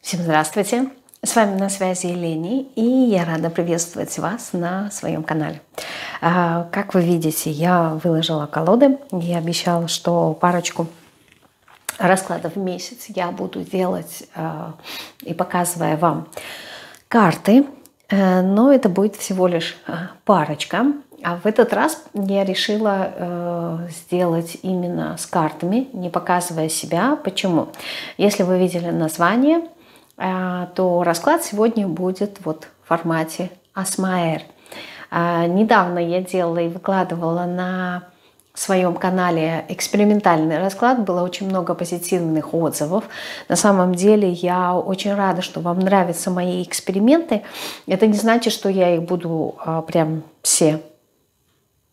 Всем здравствуйте! С вами на связи Лени, и я рада приветствовать вас на своем канале. А, как вы видите, я выложила колоды. Я обещала, что парочку раскладов в месяц я буду делать а, и показывая вам карты, э, но это будет всего лишь э, парочка. А в этот раз я решила э, сделать именно с картами, не показывая себя. Почему? Если вы видели название, э, то расклад сегодня будет вот в формате Асмаэр. Э, недавно я делала и выкладывала на в своем канале экспериментальный расклад. Было очень много позитивных отзывов способов. На самом деле я очень рада, что вам нравятся мои эксперименты. Это не значит, что я их буду а, прям все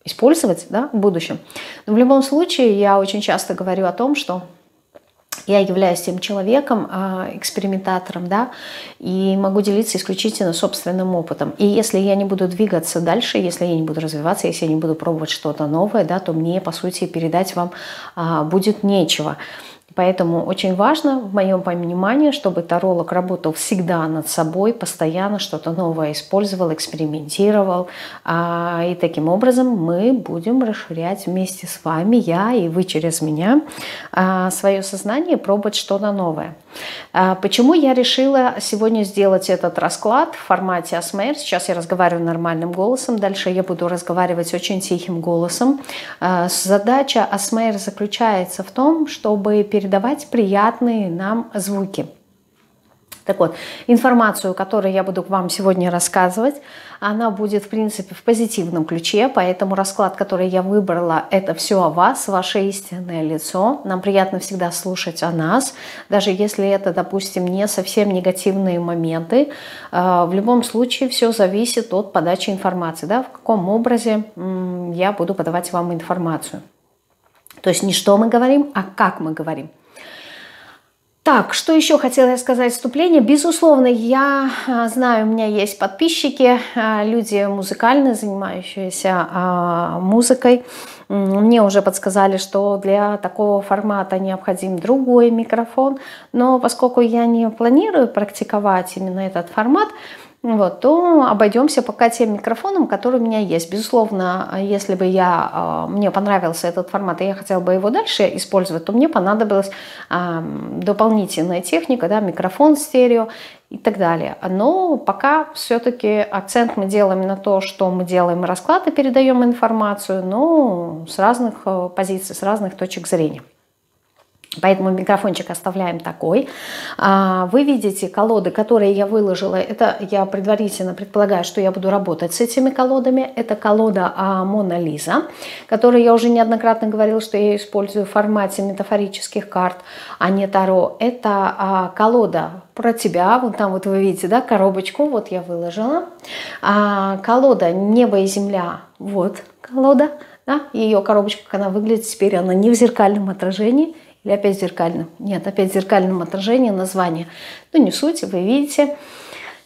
использовать да, в будущем. Но в любом случае я очень часто говорю о том, что я являюсь тем человеком, а, экспериментатором, да, и могу делиться исключительно собственным опытом. И если я не буду двигаться дальше, если я не буду развиваться, если я не буду пробовать что-то новое, да, да, то мне, по сути, передать вам а, будет нечего. Поэтому очень важно, в моем понимании, чтобы таролог работал всегда над собой, постоянно что-то новое использовал, экспериментировал. А, и таким образом мы будем расширять вместе с вами, я и вы через меня, а, свое сознание, пробовать что-то новое. А, почему я решила сегодня сделать этот расклад? формат, в формате АСМР. Сейчас я разговариваю нормальным голосом, дальше я буду разговаривать очень тихим голосом. Э, задача АСМР заключается в том, чтобы передавать приятные нам звуки. Так вот, информацию, которую я буду вам сегодня рассказывать, она будет, в принципе, в позитивном ключе, поэтому расклад, который я выбрала, это все о вас, ваше истинное лицо. Нам приятно всегда слушать о нас, нас, даже если это, допустим, не совсем негативные моменты, э, в любом случае все зависит от подачи информации, да, в каком образе я буду подавать вам информацию. То есть не что мы говорим, а как мы говорим. Так, что еще хотела я сказать вступление? Безусловно, я э, знаю, у меня есть подписчики, э, люди музыкальные, занимающиеся музыкой. Мне уже подсказали, что для такого формата необходим другой микрофон. Но поскольку я не планирую практиковать именно этот формат, вот, то обойдемся пока тем микрофоном, который у меня есть. Безусловно, если бы я, а, мне понравился этот формат, и я хотела бы его дальше использовать, то мне понадобилась а, дополнительная техника, да, микрофон стерео и так далее. Но пока все-таки акцент мы делаем на то, что мы делаем расклады, передаем информацию, но с разных э, позиций, с разных точек зрения. Поэтому микрофончик оставляем такой. А, вы видите колоды, которые я выложила. Это я предварительно предполагаю, что я буду работать с этими колодами. Это колода а, Мона Лиза, которую я уже неоднократно говорила, что я использую в формате метафорических карт, а не Таро. Это а, колода про тебя. Вот там вот вы видите, да, коробочку. Вот я выложила да? А, колода «Небо и земля» – вот колода, да? Ее коробочка, как она выглядит теперь, она не в зеркальном отражении – или опять в зеркальном? Нет, опять в зеркальном отражении название. Ну, не в суть, вы видите.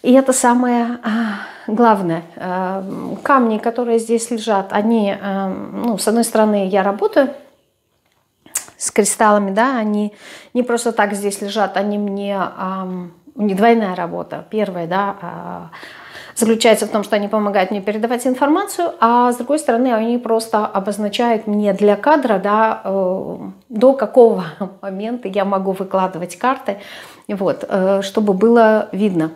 И это самое а, главное. А, камни, которые здесь лежат, они, а, ну, с одной стороны, я работаю с кристаллами, да, они не просто так здесь лежат, они мне... Ну, не двойная работа. Первая, да, а, заключается в том, что они помогают мне передавать информацию, а с другой стороны, они просто обозначают мне для кадра, да, э, до какого момента я могу выкладывать карты, вот, э, чтобы было видно,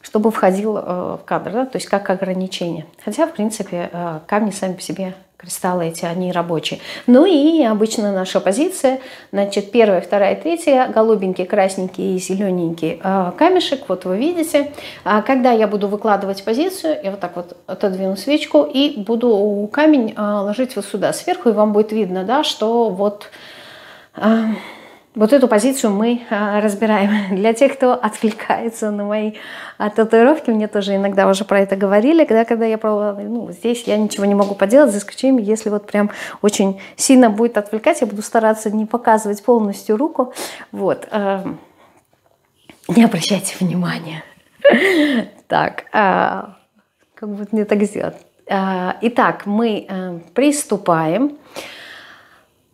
чтобы входил э, в кадр, да, то есть как ограничение. Хотя, в принципе, камни сами по себе кристаллы эти, они рабочие. Ну и обычно наша позиция, значит, первая, вторая, третья, голубенький, красненький и зелененький э, камешек, вот вы видите. А когда я буду выкладывать позицию, я вот так вот отодвину свечку и буду камень э, ложить вот сюда сверху, и вам будет видно, да, что вот... Э, вот эту позицию мы а, разбираем. Для тех, кто отвлекается на мои а, татуировки, мне тоже иногда уже про это говорили, когда, когда я пробовала, ну, ну, здесь я ничего не могу поделать, за исключением, если вот прям очень сильно будет отвлекать, я буду стараться не показывать полностью руку. Вот. Э, не обращайте внимания. Так, э, как будто не так сделать. Э, итак, мы приступаем.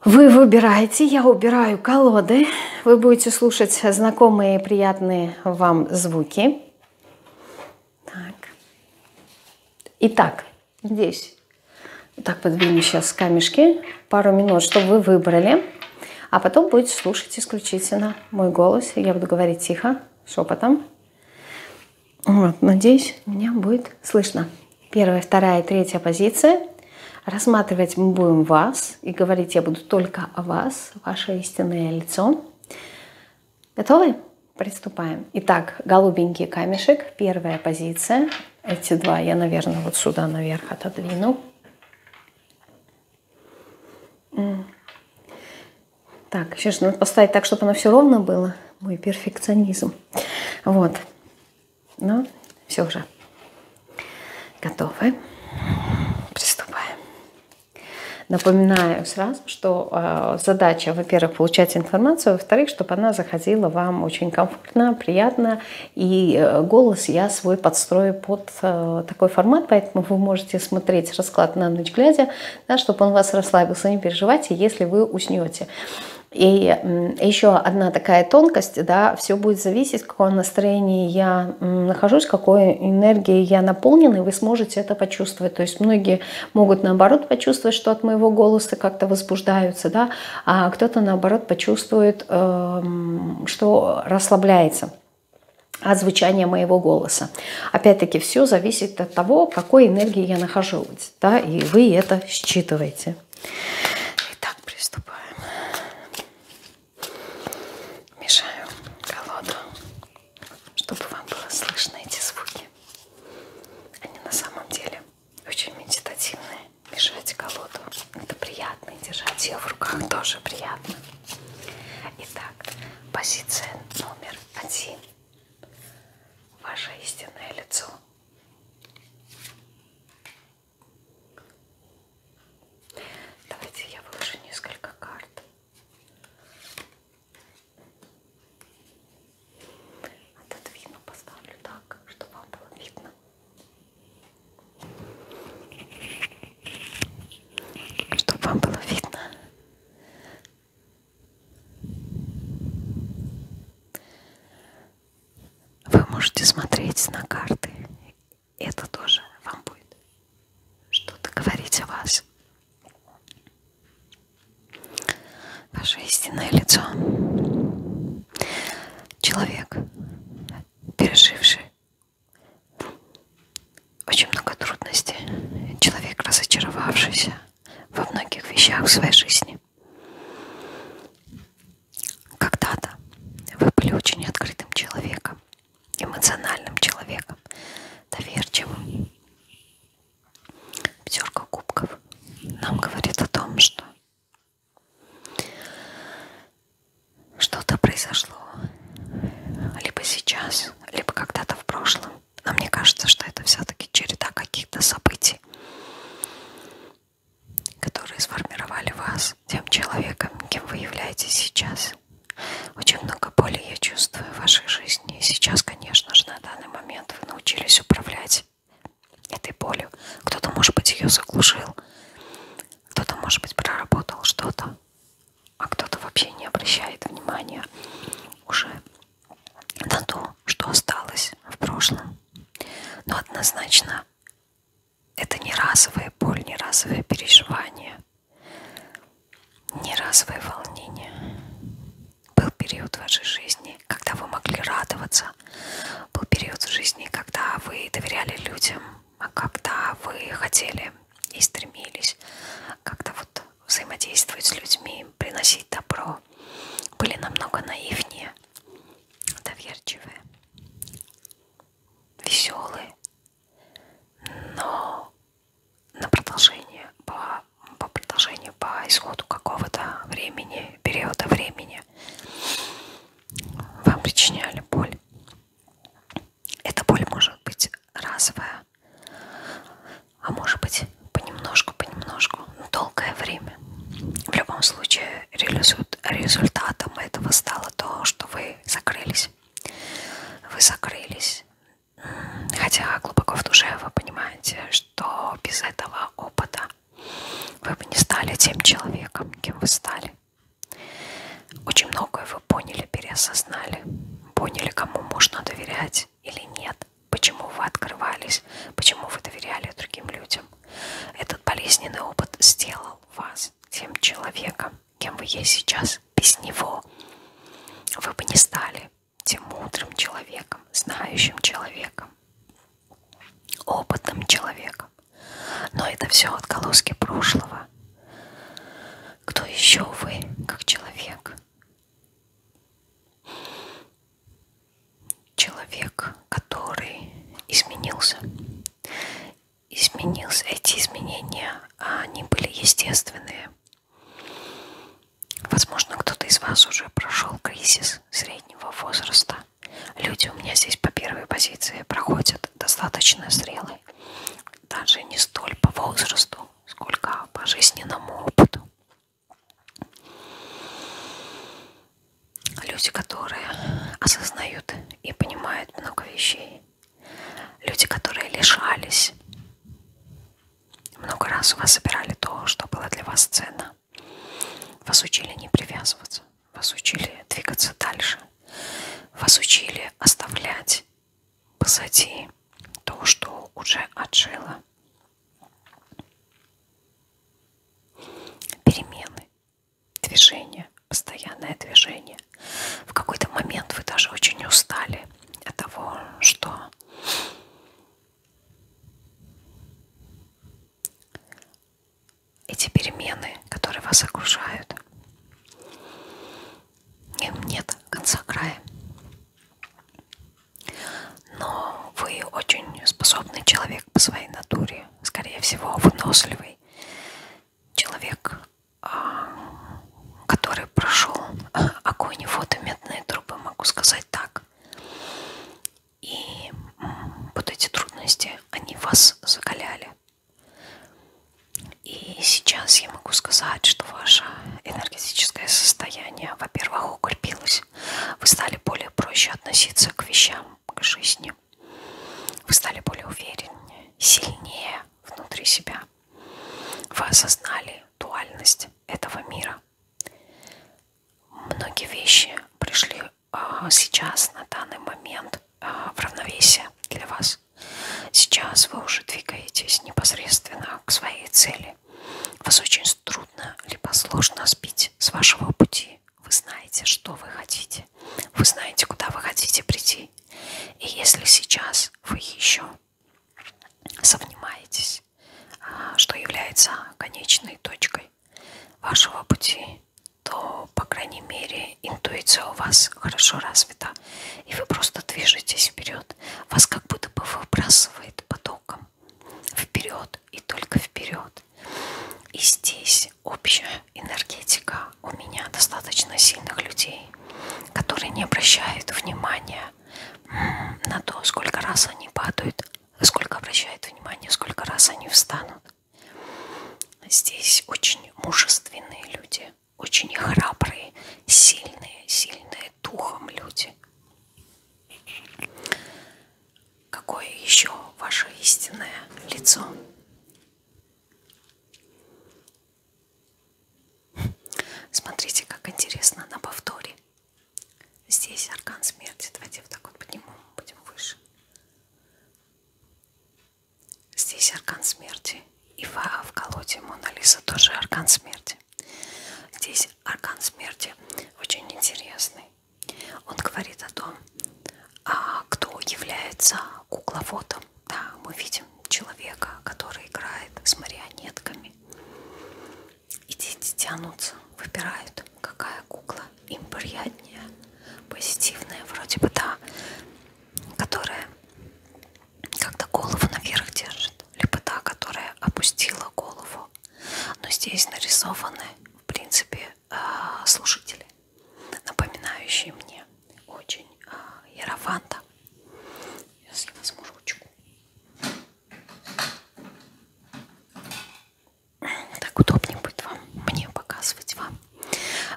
Вы выбираете, я убираю колоды. Вы будете слушать знакомые приятные вам звуки. Так. Итак, здесь. Вот так подвину сейчас камешки. Пару минут, чтобы вы выбрали. А потом будете слушать исключительно мой голос. Я буду говорить тихо, шепотом. Вот, надеюсь, меня будет слышно. Первая, вторая и третья позиция. Рассматривать мы будем вас. И говорить я буду только о вас, ваше истинное лицо. Готовы? Приступаем. Итак, голубенький камешек, первая позиция. Эти два я, наверное, вот сюда наверх отодвину. Так, сейчас надо поставить так, чтобы оно все ровно было. Мой перфекционизм. Вот. Ну, все уже. Готовы. Приступаем. Напоминаю сразу, что э, задача, во-первых, получать информацию, а во-вторых, чтобы она заходила вам очень комфортно, приятно, и э, голос я свой подстрою под э, такой формат, поэтому вы можете смотреть расклад на ночь глядя, да, чтобы он вас расслабился, не переживайте, если вы уснете. И еще одна такая тонкость, да, все будет зависеть, какое настроение я я нахожусь, какой энергией я наполнена, и вы сможете это почувствовать. То есть многие могут наоборот почувствовать, что от моего голоса как-то возбуждаются, да, а кто-то наоборот почувствует, эм, что расслабляется от звучания моего голоса. Опять-таки, все зависит от того, какой энергии я нахожусь, да, и вы это считываете. Итак, приступаем. Мешаю колоду, чтобы вам было слышно эти звуки. Они на самом деле очень медитативные. Мешать колоду это приятно, и держать ее в руках тоже приятно. Итак, позиция номер один. Ваше истинное лицо. Давайте я выложу несколько карт. Отодвину, поставлю так, чтобы вам было видно. Чтобы вам было видно. Вы можете смотреть на карты. Это тоже вам будет что-то говорить о вас. Ваше истинное лицо. Человек, переживший очень много трудностей. Человек, разочаровавшийся во многих вещах в своей жизни. Когда-то вы были очень открытым человеком, эмоциональным человеком, доверчивым. Пятерка кубков нам говорит о том, что что-то произошло либо сейчас, либо когда-то в прошлом. Но мне кажется, что это все-таки череда каких-то событий, которые сформировали вас тем человеком, кем вы являетесь сейчас вас. Очень много боли я чувствую в вашей жизни. И сейчас, конечно же, на данный момент вы научились управлять этой болью. Кто-то, может быть, ее заглушил, кто-то, может быть, проработал что-то, а кто-то вообще не обращает внимания уже на то, что осталось в прошлом. Но однозначно это не разовая боль, не разовое переживание неразовые волнения. Был период в вашей жизни, когда вы могли радоваться. Был период в жизни, когда вы доверяли людям, а когда вы хотели и стремились как-то вот взаимодействовать с людьми, приносить добро. Были намного наивнее, доверчивые, веселые, но на продолжение по, по продолжению по исходу какого-то времени периода времени вам причиняли боль эта боль может быть разовая а может быть понемножку понемножку но долгое время в любом случае результатом этого стало то что вы закрылись вы закрылись Хотя глубоко в душе вы понимаете, что без этого опыта вы бы не стали тем человеком, кем вы стали. Очень многое вы поняли, переосознали. Поняли, кому можно доверять или нет. Почему вы открывались, почему вы доверяли другим людям. Этот болезненный опыт сделал вас тем человеком, кем вы есть сейчас без него, вы бы не стали тем мудрым человеком, знающим человеком, опытным человеком. Но это все отголоски прошлого. Кто еще вы, как человек? Человек, который изменился. Изменился. Эти изменения, они были естественные. Возможно, кто-то из вас уже прошел кризис среднего возраста. Люди у меня здесь по первой позиции проходят достаточно зрелые. Даже не столь по возрасту, сколько по жизненному опыту. Люди, которые осознают и понимают много вещей, Люди, которые лишались. Много раз у вас собирали то, что было для вас ценно. Вас учили не привязываться. Вас учили двигаться дальше. Вас учили оставлять позади то, что уже отжило. Перемены, движение, постоянное движение. В какой-то момент вы даже очень устали от того, что эти перемены, которые вас окружают, им нет конца края. Но вы очень способный человек по своей натуре, скорее всего, выносливый человек а, который прошел огонь и воду медные трубы, могу сказать так. И вот эти трудности, они вас закаляли. И сейчас я могу сказать, что ваше энергетическое состояние, во-первых, укрепилось. Вы стали более проще относиться к вещам, к жизни. Вы стали более увереннее, сильнее внутри себя. Вы осознали дуальность этого мира. Многие вещи пришли а, сейчас, на данный момент, а, в равновесие для вас. Сейчас вы уже двигаетесь непосредственно к своей цели. Вас очень трудно, либо сложно сбить с вашего пути. Вы знаете, что вы хотите. Вы знаете, куда вы хотите прийти. И если сейчас вы еще совнимаетесь, а, что является конечной точкой вашего пути, то, по крайней мере, интуиция у вас хорошо развита, и вы просто движетесь вперед. Вас как будто бы выбрасывает потоком вперед и только вперед. И здесь общая энергетика у меня достаточно сильных людей, людей, которые не обращают внимания на то, сколько раз они падают, сколько обращают внимание, сколько раз они встанут. Здесь очень мужественные люди, очень храбрые, сильные, сильные духом люди. Какое еще ваше истинное лицо? Смотрите, как интересно на повторе. Здесь аркан смерти. Давайте вот так вот поднимем, будем выше. Здесь аркан смерти. И в колоде Мона Лиза тоже аркан смерти. Здесь аркан смерти очень интересный. Он говорит о том, а, кто является кукловодом да, мы видим человека, который играет с марионетками. И дети тянутся, выбирают, какая кукла им приятнее, позитивная вроде бы та, которая как-то голову наверх держит, либо та, которая опустила голову. Но здесь нарисованы, в принципе, э, слушатели, напоминающие мне очень а, Ярофанта. Я съела возьму ручку. Так удобнее будет вам, мне показывать вам.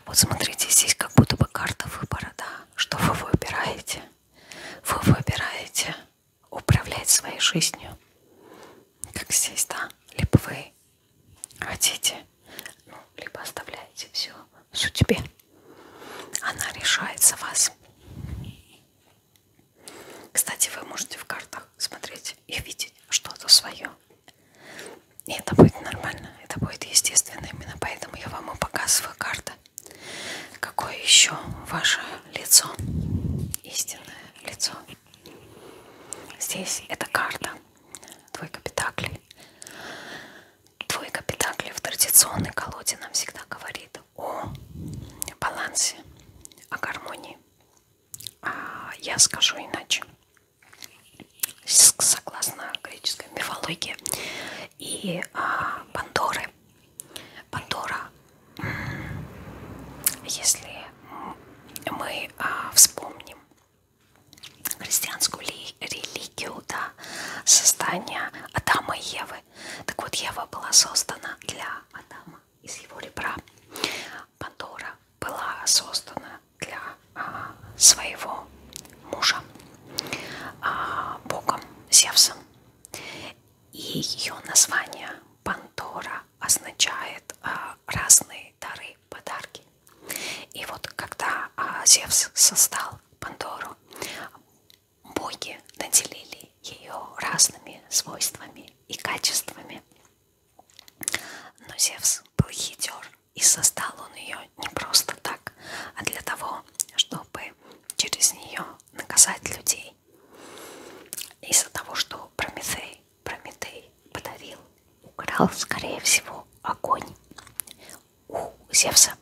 Вот смотрите, здесь как будто бы карта выбора, да, что вы выбираете. Вы выбираете управлять своей жизнью, как здесь, да, либо вы хотите, ну, либо оставляете все, все тебе. Она решает за вас. Кстати, вы можете в картах смотреть и видеть что-то свое. И это будет нормально, это будет естественно. Именно поэтому я вам и показываю карты. Какое еще ваше лицо? Истинное лицо. Здесь эта карта. Двойка петаклей. Двойка педакли в традиционной колоде нам всегда говорит о балансе, о гармонии. А я скажу иначе. Согласно греческой мифологии и а, Пандоры, Пандора, если мы а, вспомним христианскую религию, религию, да, создание Адама и Евы. Так вот, Ева была создана для Адама из его ребра. Пандора была создана для а, своего мужа, а, богом Зевсом. И ее название Пандора означает а, разные дары, подарки. И вот когда а, Зевс создал Пандору, боги наделили ее разными свойствами и качествами. Но Зевс был хитер, и создал он ее не просто так, а для того, чтобы через нее наказать людей. Из-за того, что Прометей, Прометей подарил, украл, скорее всего, огонь у Зевса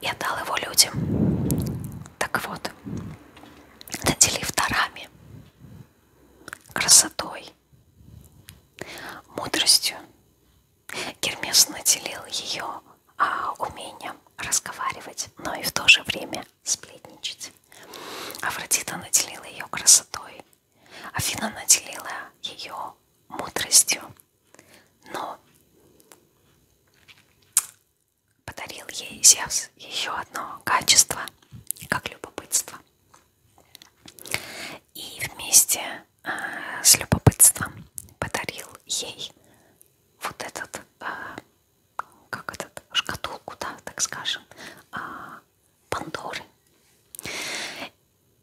и отдал его людям. Так вот, наделив дарами, красотой, мудростью, Гермес наделил ее а, умением разговаривать, но и в то же время сплетничать. Афродита наделила ее красотой, Афина наделила ее мудростью, но подарил ей Зевс еще одно качество, как любопытство. И вместе э, с любопытством подарил ей вот этот, э, как этот, шкатулку, да, так скажем, э, Пандоры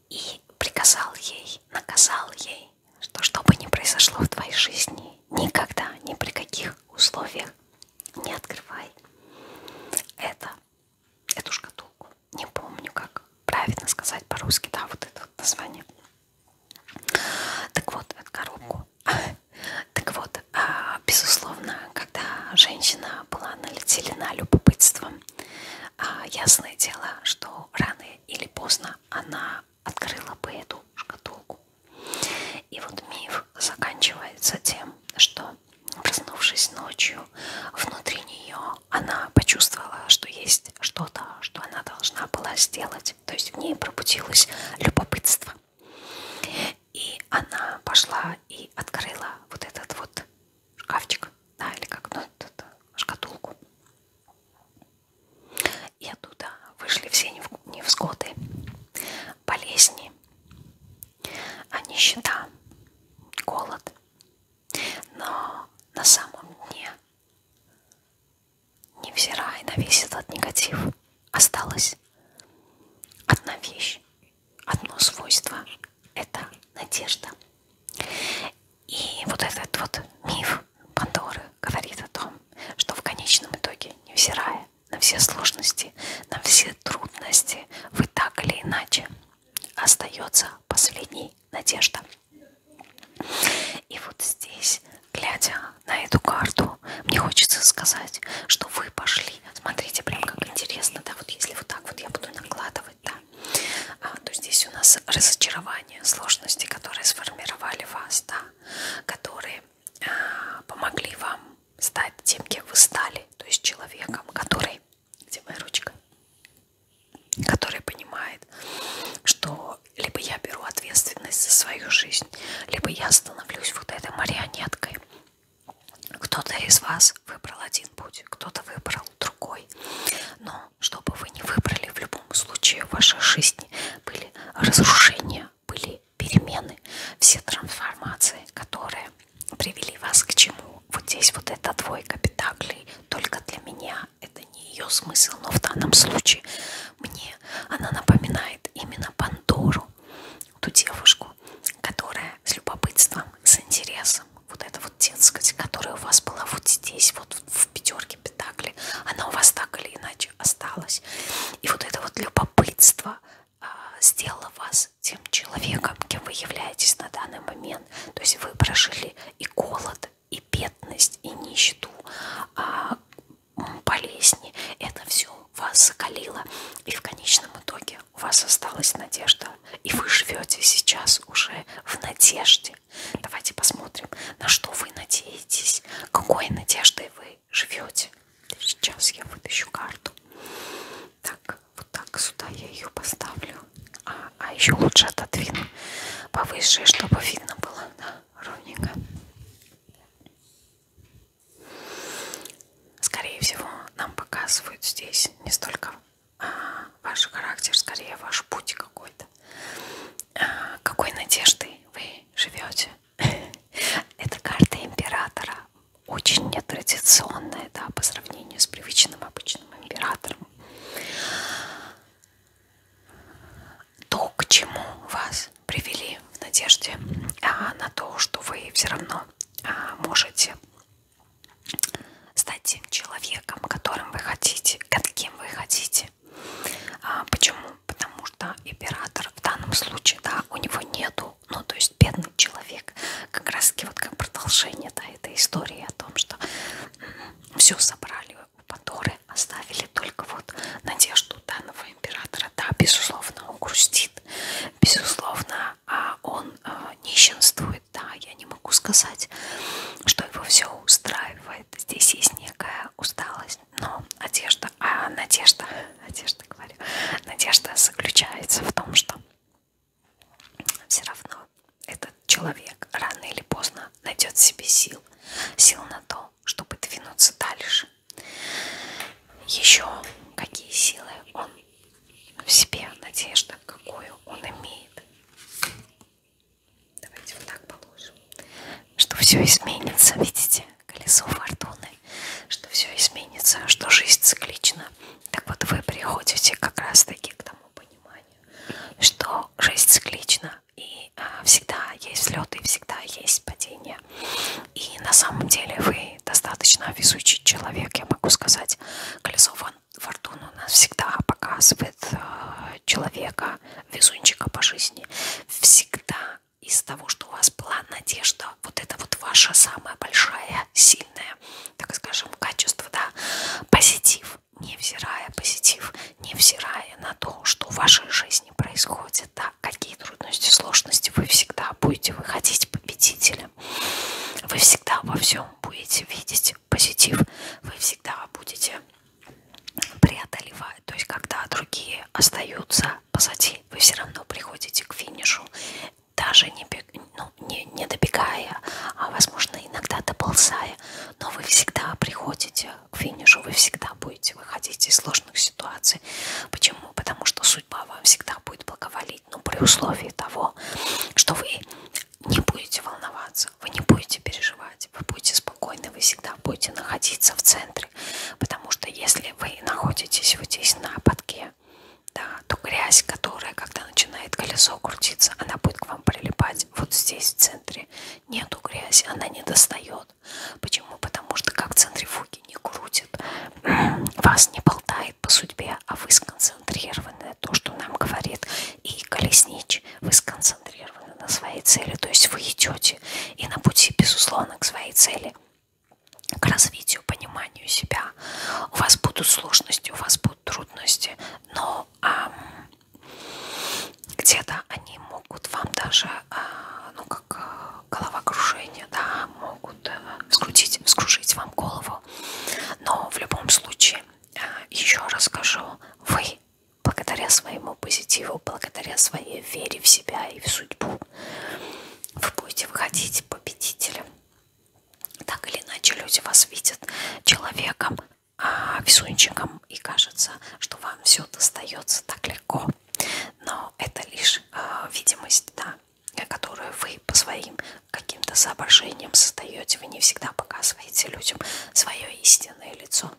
и приказал ей, наказал ей, что что бы ни произошло в твоей жизни, никогда, ни при каких условиях не открывай это, эту шкатулку. Не помню, как правильно сказать по-русски, да, вот это вот название. Так вот, эту коробку. Так вот, а, безусловно, когда женщина была налетелена любопытством, а, ясное дело, что рано или поздно она открыла бы эту шкатулку. И вот миф заканчивается тем, что, проснувшись ночью, внутри нее она почувствовала, что есть что-то, что она должна была сделать. То есть в ней пробудилось любопытство. И она пошла и открыла вот этот вот шкафчик, да, или как, ну, шкатулку. И оттуда вышли все невзгоды, болезни, а нищета, голод. Но на самом дне, невзирая на весь этот негатив, осталась одна вещь, одно свойство – это надежда. И вот этот вот миф Пандоры говорит о том, что в конечном итоге, невзирая на все сложности, на все трудности, вы так или иначе остается последней надежда. И вот здесь, глядя на эту карту, мне хочется сказать, что вы пошли. Смотрите, прям как интересно, да, вот если вот так вот я буду накладывать, да, а, то здесь у нас разочарование, сложности, которые сформировали вас, да, которые а, помогли вам стать тем, кем вы стали, то есть человеком, который, где моя ручка, который понимает, что либо я беру ответственность за свою жизнь, либо я становлюсь вот этой марионеткой. Кто-то из вас выбрал один путь, кто-то выбрал другой. Но но, чтобы вы не выбрали, в любом случае в вашей жизни были разрушения, были перемены, все трансформации, которые привели вас к чему. Вот здесь вот эта двойка петаклей только для меня. Это не ее смысл, но в данном случае мне она напоминает именно Пандору, ту девушку, которая с любопытством, с интересом, вот эта вот детскость, которая у вас была вот здесь, вот в пятерке книжки Пентакли, она у вас так или иначе осталась. И вот это вот любопытство а, сделало вас тем человеком, кем вы являетесь на данный момент. То есть вы прожили и голод, и бедность, и нищету, а, болезни. Это все вас закалило. И в конечном итоге у вас осталась надежда. И вы живете сейчас уже в надежде. Давайте посмотрим, на что вы надеетесь, какой надеждой вы живете. Сейчас я вытащу карту. Так, вот так сюда я ее поставлю. А, а еще лучше отодвину повыше, чтобы видно было да, ровненько. Скорее всего, нам показывают здесь не столько а, ваш характер, скорее ваш путь какой-то какой надеждой вы живете. Это карта императора. Очень нетрадиционная, да, по сравнению с привычным обычным императором. То, к чему вас привели в надежде а, на то, что вы все равно а, можете стать тем человеком, которым вы хотите, каким вы хотите сети. А, почему? Потому что оператор в данном случае, да, у него нету, ну то есть бедный человек, как раз таки вот как продолжение да, этой истории о том, что все собрали у Пандоры, оставили только вот надежду данного императора, да, безусловно, он грустит, безусловно, а, он э, нищенствует, да, я не могу сказать, что его все устраивает, чувствовать. Здесь есть некая усталость, но одежда, а надежда, одежда говорю, надежда заключается в том, что все равно этот человек рано или поздно найдет в себе сил, сил на то, чтобы двинуться дальше. Еще какие силы он в себе, надежда, какую он имеет. Давайте вот так положим. Что все изменится, видите, колесо фортуны. Что все изменится, что жизнь циклична. Так вот вы приходите как раз таки к тому пониманию, что жизнь циклична. И а, всегда есть взлеты, и всегда есть падения. И на самом деле вы достаточно везучий человек, я могу сказать. Колесо фортуны у нас всегда показывает а, человека, всегда везунчика по жизни. Всегда из того, что у вас план, надежда, вот это вот ваша самая большая, сильная, так скажем, качество, да, позитив, невзирая позитив, невзирая на то, что в вашей жизни происходит, да, какие трудности, сложности, вы всегда будете выходить победителем, вы всегда во всем будете видеть позитив, вы всегда будете преодолевают. То есть, когда другие остаются позади, вы все равно приходите к финишу, даже не, ну, не, не добегая, а, возможно, иногда доползая. Но вы всегда приходите к финишу, вы всегда будете выходить из сложных ситуаций. Почему? Потому что судьба вам всегда будет благоволить, но ну, при условии того, что вы не будете волноваться, вы не будете переживать, вы будете спокойны, вы всегда будете находиться в центре, потому что если вы находитесь вот здесь на подке, да, то грязь, которая, когда начинает колесо крутиться, она будет к вам прилипать вот здесь в центре. Нету грязи, она не достает. Почему? Потому что как центрифуги не крутит, вас не болтает по судьбе, а вы сконцентрированы на то, что нам говорит и колеснич, вы сконцентрированы на своей цели, то есть вы идете и на пути, безусловно, к своей цели, к развитию, пониманию себя. У вас будут сложности, у вас будут трудности, но а, где-то они могут вам даже, а, ну как а, головокружение, да, могут а, э, вскрутить, вскружить вам голову. Но в любом случае, а, еще раз скажу, вы благодаря своему позитиву, благодаря своей вере в себя и в судьбу, вы будете выходить победителем. Так или иначе, люди вас видят человеком, а, везунчиком, и кажется, что вам все достается так легко. Но это лишь а, видимость, да, которую вы по своим каким-то соображениям создаете. Вы не всегда показываете людям свое истинное лицо.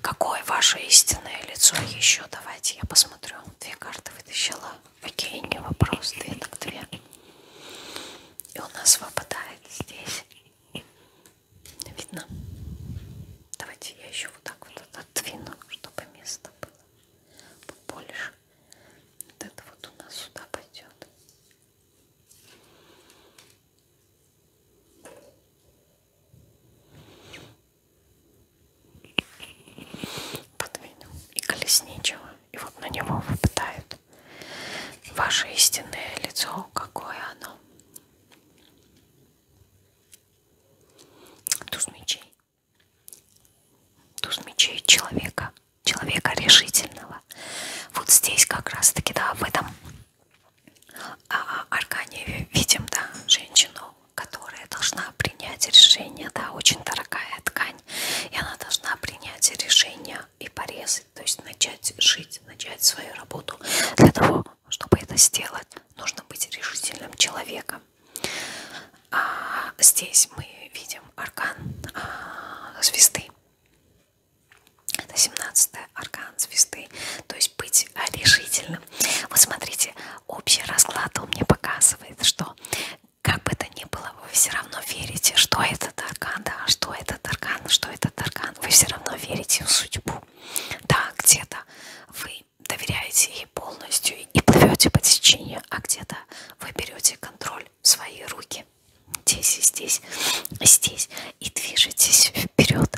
Какое ваше истинное лицо? Еще давайте я посмотрю. Две карты вытащила. Окей, не вопрос. Две так две. И у нас выпадает здесь. Видно? Давайте я еще вот так вот отодвину, чтобы место было побольше. Вот это вот у нас сюда пойдет. Подвинем и колесничего, и вот на него выпадает ваше истинное лицо, какое оно. Туз мечей. Туз мечей человека. Человека решительного. Вот здесь как раз таки, да, в этом а Аркадий видим, да, женщину, которая должна принять решение, да, очень дорогая ткань, и она должна принять решение и порезать, то есть начать жить, начать свою работу. Для того, чтобы это сделать, нужно быть решительным человеком. А здесь мы видим аркан а, звезды. Это 17 аркан звезды. То есть быть решительным. Вот смотрите, общий расклад он мне показывает, что как бы то ни было, вы все равно верите, что этот аркан, да, что этот аркан, что этот аркан. Вы все равно верите в судьбу. Да, где-то вы доверяете ей полностью и плывете по течению, а где-то вы берете контроль в свои руки здесь и здесь и здесь и движетесь вперед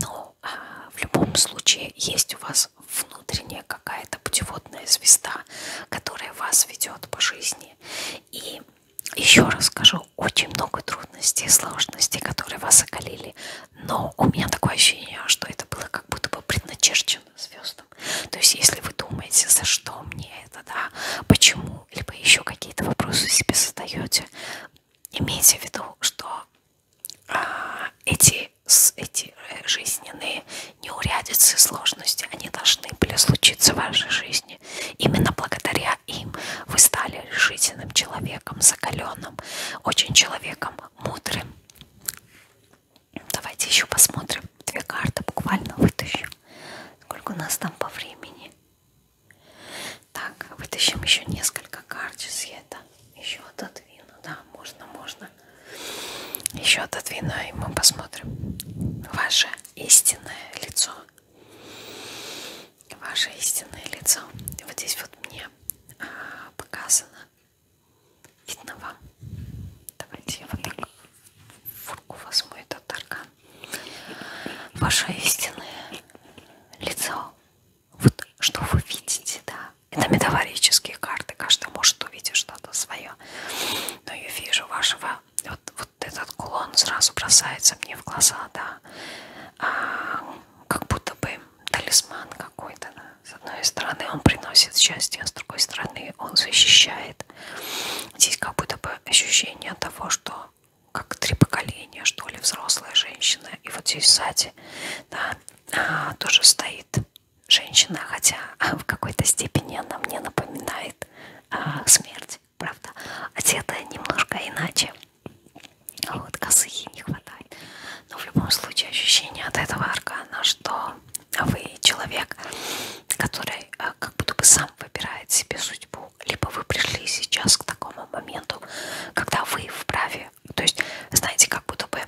но а, в любом случае есть у вас внутренняя какая-то путеводная звезда которая вас ведет по жизни и еще раз скажу очень много трудностей и сложностей которые вас околили но у меня такое ощущение что это было как будто бы предначерчено звездам то есть если вы думаете за что мне это да почему либо еще какие-то вопросы себе задаете имейте в виду, что а, эти, эти э, жизненные неурядицы, сложности, они должны были случиться в вашей жизни. Именно благодаря им вы стали решительным человеком, закаленным, очень человеком мудрым. Давайте еще посмотрим. Две карты буквально вытащу. Сколько у нас там по времени? Так, вытащим еще несколько карт. Сейчас я это еще отодвину. Да, можно, можно. Еще отодвину, и мы посмотрим. Ваше истинное лицо. Ваше истинное лицо. Вот здесь вот мне а, показано. Видно вам. Давайте я вот так фурку возьму этот аркан ваше истинное лицо. Вот что вы видите, да. Это метафорические карты. Каждый может увидеть что-то свое. Но я вижу вашего... Вот, вот этот кулон сразу бросается мне в глаза, да. А, как будто бы талисман какой-то. Да? С одной стороны он приносит счастье, а с другой стороны он защищает. Здесь как будто бы ощущение того, что как три поколения, что ли, взрослая женщина. И вот здесь сзади да, а, тоже стоит женщина, хотя в какой-то степени она мне напоминает а, смерть, правда, одета немножко иначе. Вот косы ей не хватает. Но в любом случае ощущение от этого аркана, что вы человек, который а, как будто бы сам выбирает себе судьбу, ну, либо вы пришли сейчас к такому моменту, когда вы вправе, то есть, знаете, как будто бы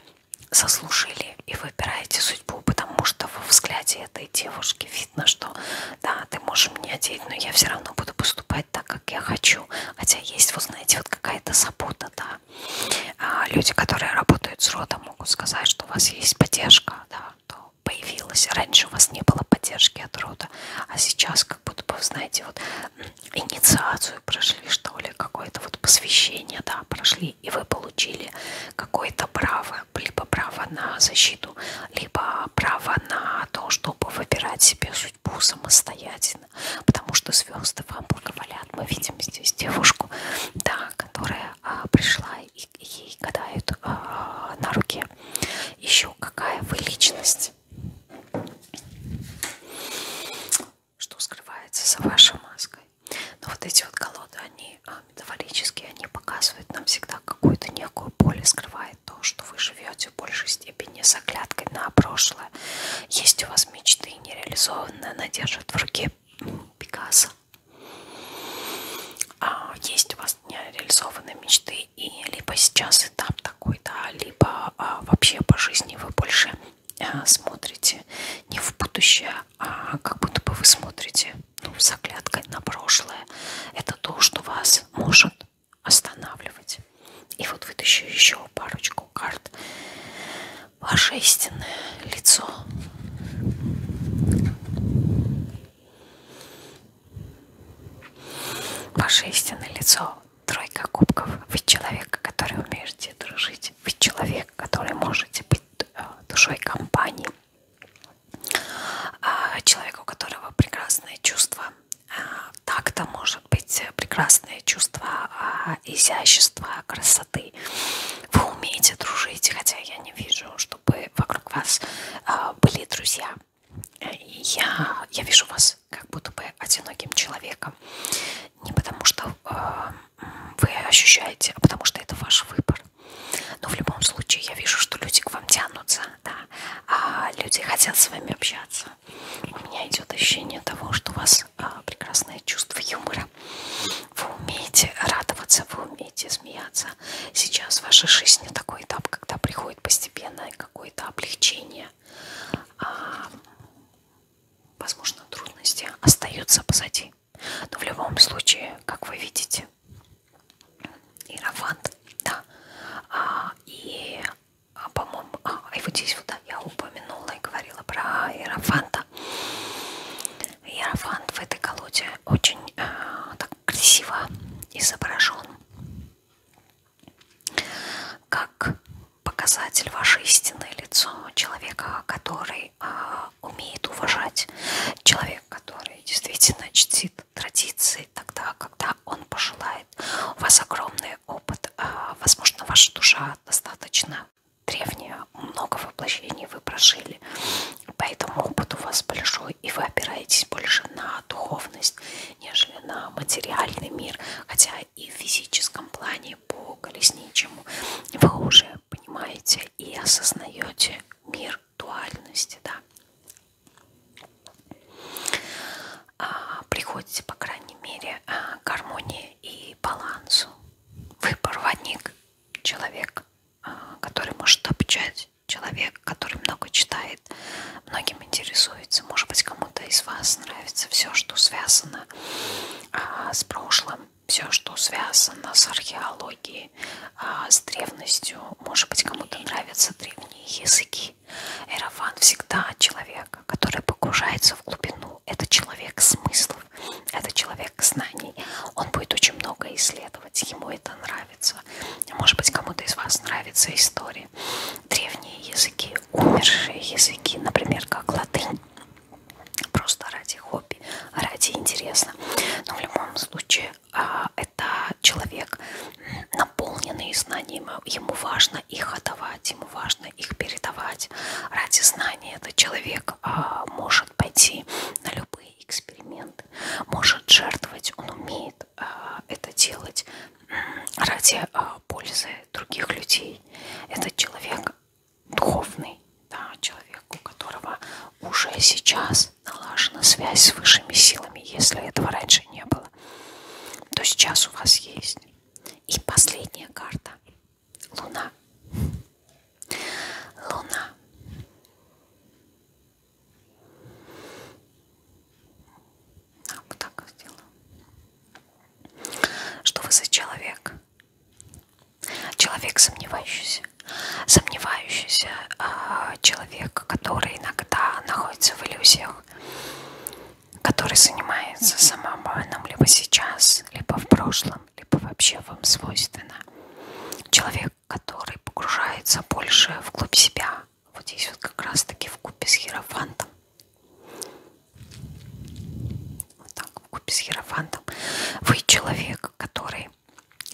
заслужили и выбираете судьбу, потому что во взгляде этой девушки видно, что да, ты можешь мне одеть, но я все равно буду поступать так, как я хочу. Хотя есть, вы знаете, вот какая-то забота, да. А люди, которые работают с родом, могут сказать, что у вас есть поддержка, да, то появилась. Раньше у вас не было поддержки от рода что-то. А сейчас как будто бы, знаете, вот инициацию прошли, что ли, какое-то вот посвящение, да, прошли, и вы получили какое-то право, либо право на защиту, либо право на то, чтобы выбирать себе судьбу самостоятельно, потому что звезды вам благоволят. Мы видим здесь девушку, да, которая а, пришла и ей гадают а, на руке. Еще какая вы личность? что скрывается за вашей маской. Но ну, вот эти вот колоды, они а, метафорические, они показывают нам всегда какую-то некую боль, скрывает то, что вы живете в большей степени с оглядкой на прошлое. Есть у вас мечты нереализованные, она держит в руке Пикассо. А есть у вас нереализованные мечты, и либо сейчас есть этап такой, да, либо а, вообще по жизни вы больше а, смотрите не в будущее, а как будто бы вы смотрите, ну, с оглядкой на прошлое. Это то, что вас может останавливать. И вот вытащу еще парочку карт. Ваше истинное лицо. Ваше истинное лицо тройка кубков. Вы человек, который умеете дружить. Вы человек, который можете быть э, душой компании. А, человек, у которого прекрасные чувства а, так-то может быть прекрасное чувство а, изящества, красоты. Вы умеете дружить, хотя я не вижу, чтобы вокруг вас были друзья я, я вижу вас как будто бы одиноким человеком. Не потому что э, вы ощущаете, а потому что это ваш выбор. Но в любом случае я вижу, что люди к вам тянутся, да, а люди хотят с вами общаться. У меня идет ощущение того, что у вас э, прекрасное чувство юмора. Вы умеете радоваться, вы умеете смеяться. Сейчас в вашей жизни такой этап, когда приходит постепенное какое-то облегчение, трудности, а, возможно, трудности остаются позади. Но в любом случае, как вы видите, Иерофант, да, а, и, а, по-моему, и вот здесь вот, да, я упомянула и говорила про Иерофанта. Иерофант в этой колоде очень так красиво изображен как показатель ваше истинное лицо человека, который а, умеет уважать, человек, который действительно чтит традиции тогда, когда он пожелает. У вас огромный опыт, а, возможно, ваша душа достаточно древняя, много воплощений вы прожили, поэтому опыт у вас большой, и вы опираетесь больше на духовность нежели на материальный мир. Хотя и в физическом плане по колесничему вы уже понимаете и осознаете мир дуальности. Да? А, приходите, по крайней мере, а, к гармонии и балансу. Вы проводник, человек, а, который может обучать, человек, который много читает работает. Многим интересуется. Может быть, кому-то из вас нравится все, что связано а, с прошлым, все, что связано с археологией, а, с древностью. Может быть, кому-то нравятся древние языки. Эрофан всегда человек, который погружается в глубину. Это человек смыслов, это человек знаний. Он будет очень много исследовать, ему это нравится. Может быть, кому-то из вас нравится история древние языки, умершие языки, например, как латынь, просто ради хобби, ради интереса. Но в любом случае а, это человек наполненный знаниями, ему важно их отдавать, ему важно их передавать. Ради знания этот человек а, может пойти на любые эксперименты, может жертвовать, он умеет может э, это делать ради э, пользы других людей. Этот человек духовный, да, человек, у которого уже сейчас налажена связь с высшими силами, если этого раньше не было, то сейчас у вас есть. И последняя карта – Луна. Луна. А, вот так сделаю. Что вы за человек? Человек сомневающийся. Сомневающийся э, человек, который иногда находится в иллюзиях, который занимается самообманом либо сейчас, либо в прошлом, либо вообще вам свойственно. Человек, который погружается больше вглубь себя, вот здесь вот как раз таки в купе с херофантом. Вот так, в купе с херофантом. Вы человек, который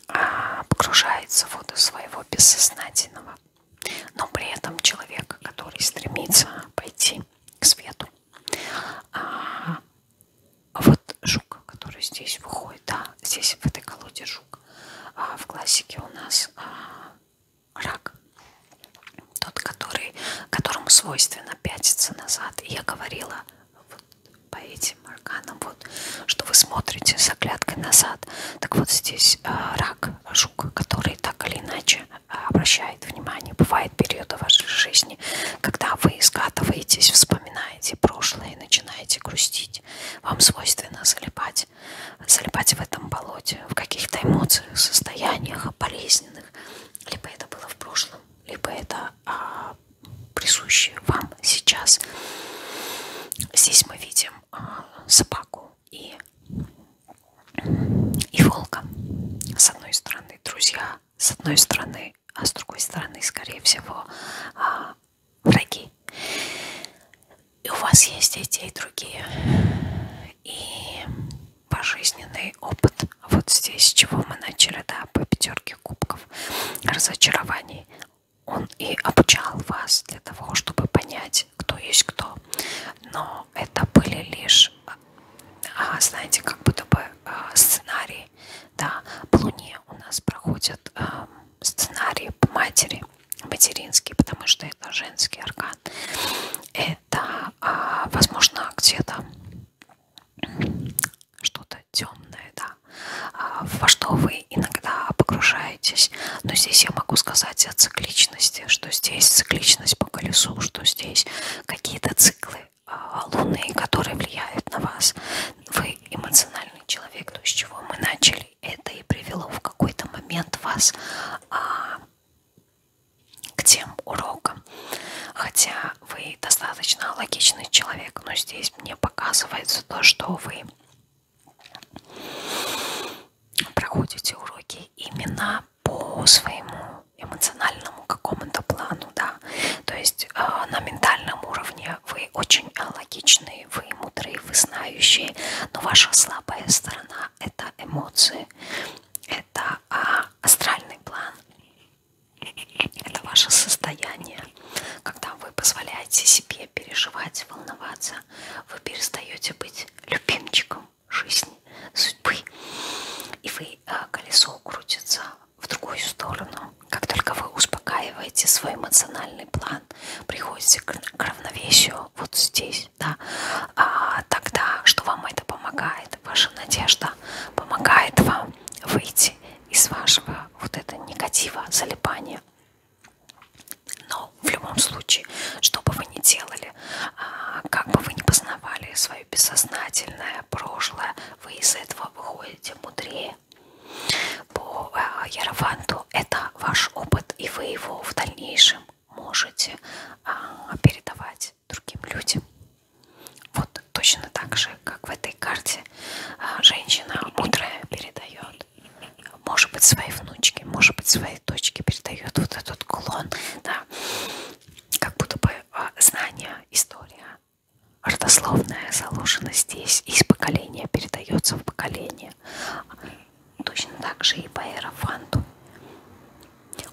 а, погружается в воду своего бессознательного, но при этом человек, который стремится пойти к свету. А вот жук, который здесь выходит, да, здесь в этой колоде жук. А в классике у нас а, рак. Тот, который, которому свойственно пятиться назад. И я говорила вот по этим органам, вот, что вы смотрите с оглядкой назад. Так вот здесь э, рак, жук, который так или иначе э, обращает внимание. Бывает периоды вашей жизни, когда вы скатываетесь, вспоминаете прошлое и начинаете грустить. Вам свойственно залипать залипать, залипать в этом болоте, в каких-то эмоциях, состояниях болезненных. Либо это было в прошлом, либо это а, присуще вам сейчас. Здесь мы видим а, собаку и, и волка. С одной стороны, друзья, с одной стороны, а с другой стороны, скорее всего, а, враги и у вас есть дети и другие. И пожизненный опыт. Вот здесь, с чего мы начали, да, по пятерке кубков разочарований. Он и обучал вас для того, чтобы понять, кто есть кто. Но это были лишь, а, знаете, как будто бы а, сценарии. Да, по Луне у нас проходят а, сценарии по матери, материнские, потому что это женский аркан это, а, возможно, где-то что-то темное, да, а, во что вы иногда погружаетесь. Но здесь я могу сказать о цикличности, что здесь цикличность по колесу, что здесь какие-то циклы а, луны, которые влияют на вас. Вы эмоциональный человек, то, с чего мы начали, это и привело в какой-то момент вас... А, к тем урокам. Хотя вы достаточно логичный человек, но здесь мне показывается то, что вы проходите уроки именно по своему эмоциональному какому-то плану, да. То есть э, на ментальном уровне вы очень логичные, вы мудрые, вы знающие, но ваша слабая сторона плана это эмоции, это а, астральный план, это ваше состояние, когда вы позволяете себе переживать, волноваться, вы перестаете быть любимчиком жизни, судьбы, и вы а, колесо крутится в другую сторону. Как только вы успокаиваете свой эмоциональный план, приходите к равновесию вот здесь, да, а тогда что вам это помогает? Ваша надежда помогает вам выйти из вашего вот этого негатива, залипания. Но в любом случае, что бы вы ни делали, а, как бы вы ни познавали свое бессознательное прошлое, вы из этого выходите мудрее. По а, Ярованту это ваш опыт, и вы его в дальнейшем можете а, передавать другим людям. Вот точно так же, как в этой карте а, женщина мудрая передает, может быть, своей внучке, может быть, своей дочке передает вот этот клон, да, как будто бы а, знания, история родословная заложена здесь, из поколения передается в поколение точно так же и по аэрофанту.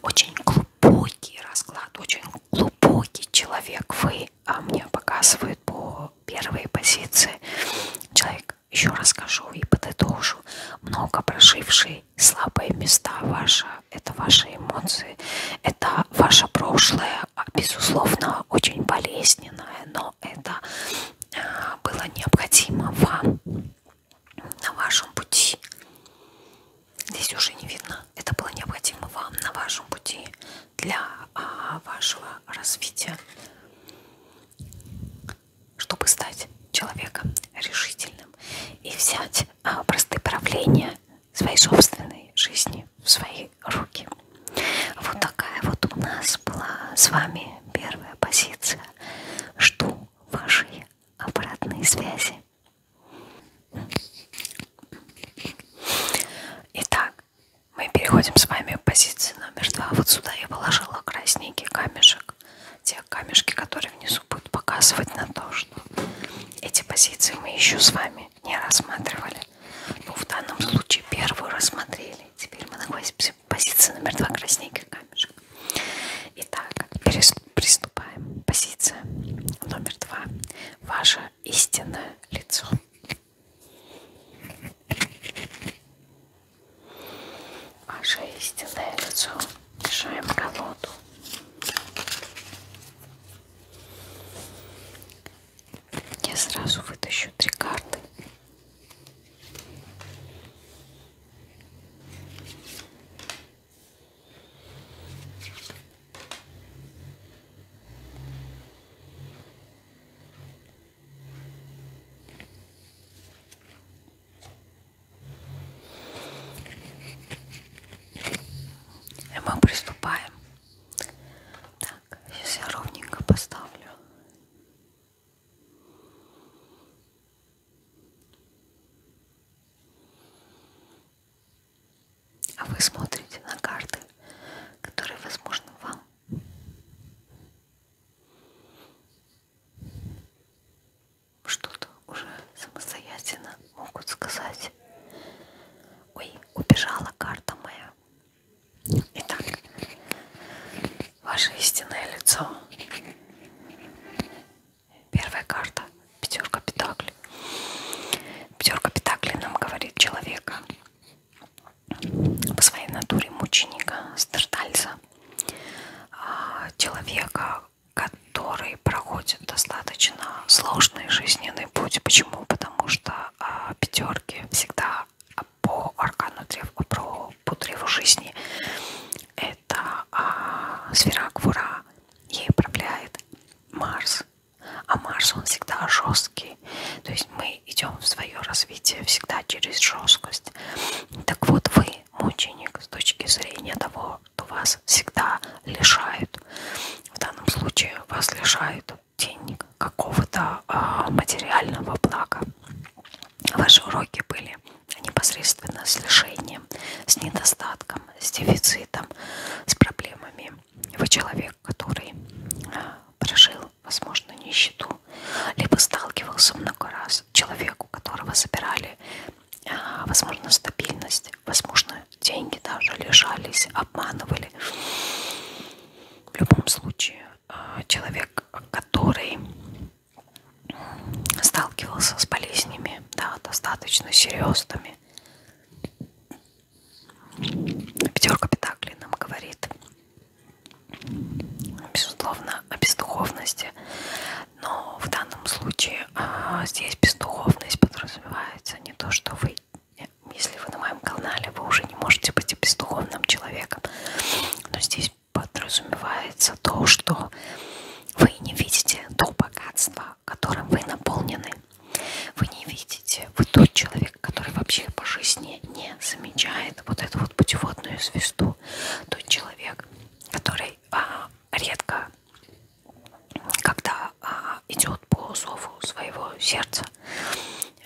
Очень глубокий расклад, очень глубокий человек вы, а мне показывают по первой позиции. Человек, еще расскажу и подытожу, много прошивший слабые места ваши, это ваши эмоции, это ваше прошлое, а, безусловно, очень болезненное, но это а, было необходимо вам на вашем пути. Здесь уже не видно. Это было необходимо вам на вашем пути для а, вашего развития, чтобы стать человеком решительным и взять а, простые правления своей собственной жизни в свои руки. Вот такая вот у нас была с вами первая позиция. Жду вашей обратной связи. Итак, мы переходим с вами к позиции номер два. Вот сюда я положила красненький камешек. Те камешки, которые внизу будут показывать на то, что эти позиции мы еще с вами не рассматривали. Ну, в данном случае первую рассмотрели. Теперь мы находимся Позиция номер два красненький камешек. Итак, приступаем. Позиция номер два. Ваше истинное лицо. Ваше истинное лицо. Мешаем колоду. Я сразу вытащу три карты. И мы приступаем. Так, сейчас я ровненько поставлю. А вы смотрите на карты, которые возможны вам. Что-то уже самостоятельно могут сказать. Ой, убежала карта моя. Итак, ваше истинное лицо. Первая карта. Пятерка Петаклей. Пятерка Петаклей нам говорит человека по своей натуре мученика, страдальца, а, человека, который проходит достаточно сложный жизненный путь. Почему? Потому что а, пятерки всегда по аркану древ, а про по древу жизни. Это а, сфера-квура, ей управляет Марс. А Марс, он всегда жесткий. То есть мы идем в свое развитие всегда через жесткость. Так вот, вы мученик с точки зрения того, что вас всегда лишают. В данном случае вас лишают денег, какого-то а, материального блага. Ваши уроки были непосредственно с лишением, с недостатком, с дефицитом, с проблемами. Вы человек, который а, прожил, возможно, нищету, либо сталкивался много раз. Человек, у которого забирали, а, возможно, стабильность, возможно, деньги даже лишались, обманывали. В любом случае, а, человек, который сталкивался с болезнями, да, достаточно серьезными. Пятерка Петаклей нам говорит, безусловно, о бездуховности, но в данном случае а, здесь бездуховность подразумевается не то, что вы, э, если вы на моем канале, вы уже не можете быть бездуховным человеком, но здесь подразумевается то, что вы не видите то богатство, которым вы наполнены. Вы не видите, вы тот человек, который вообще по жизни не замечает вот эту вот путеводную звезду. Тот человек, который а, редко, когда а, идет по зову своего сердца,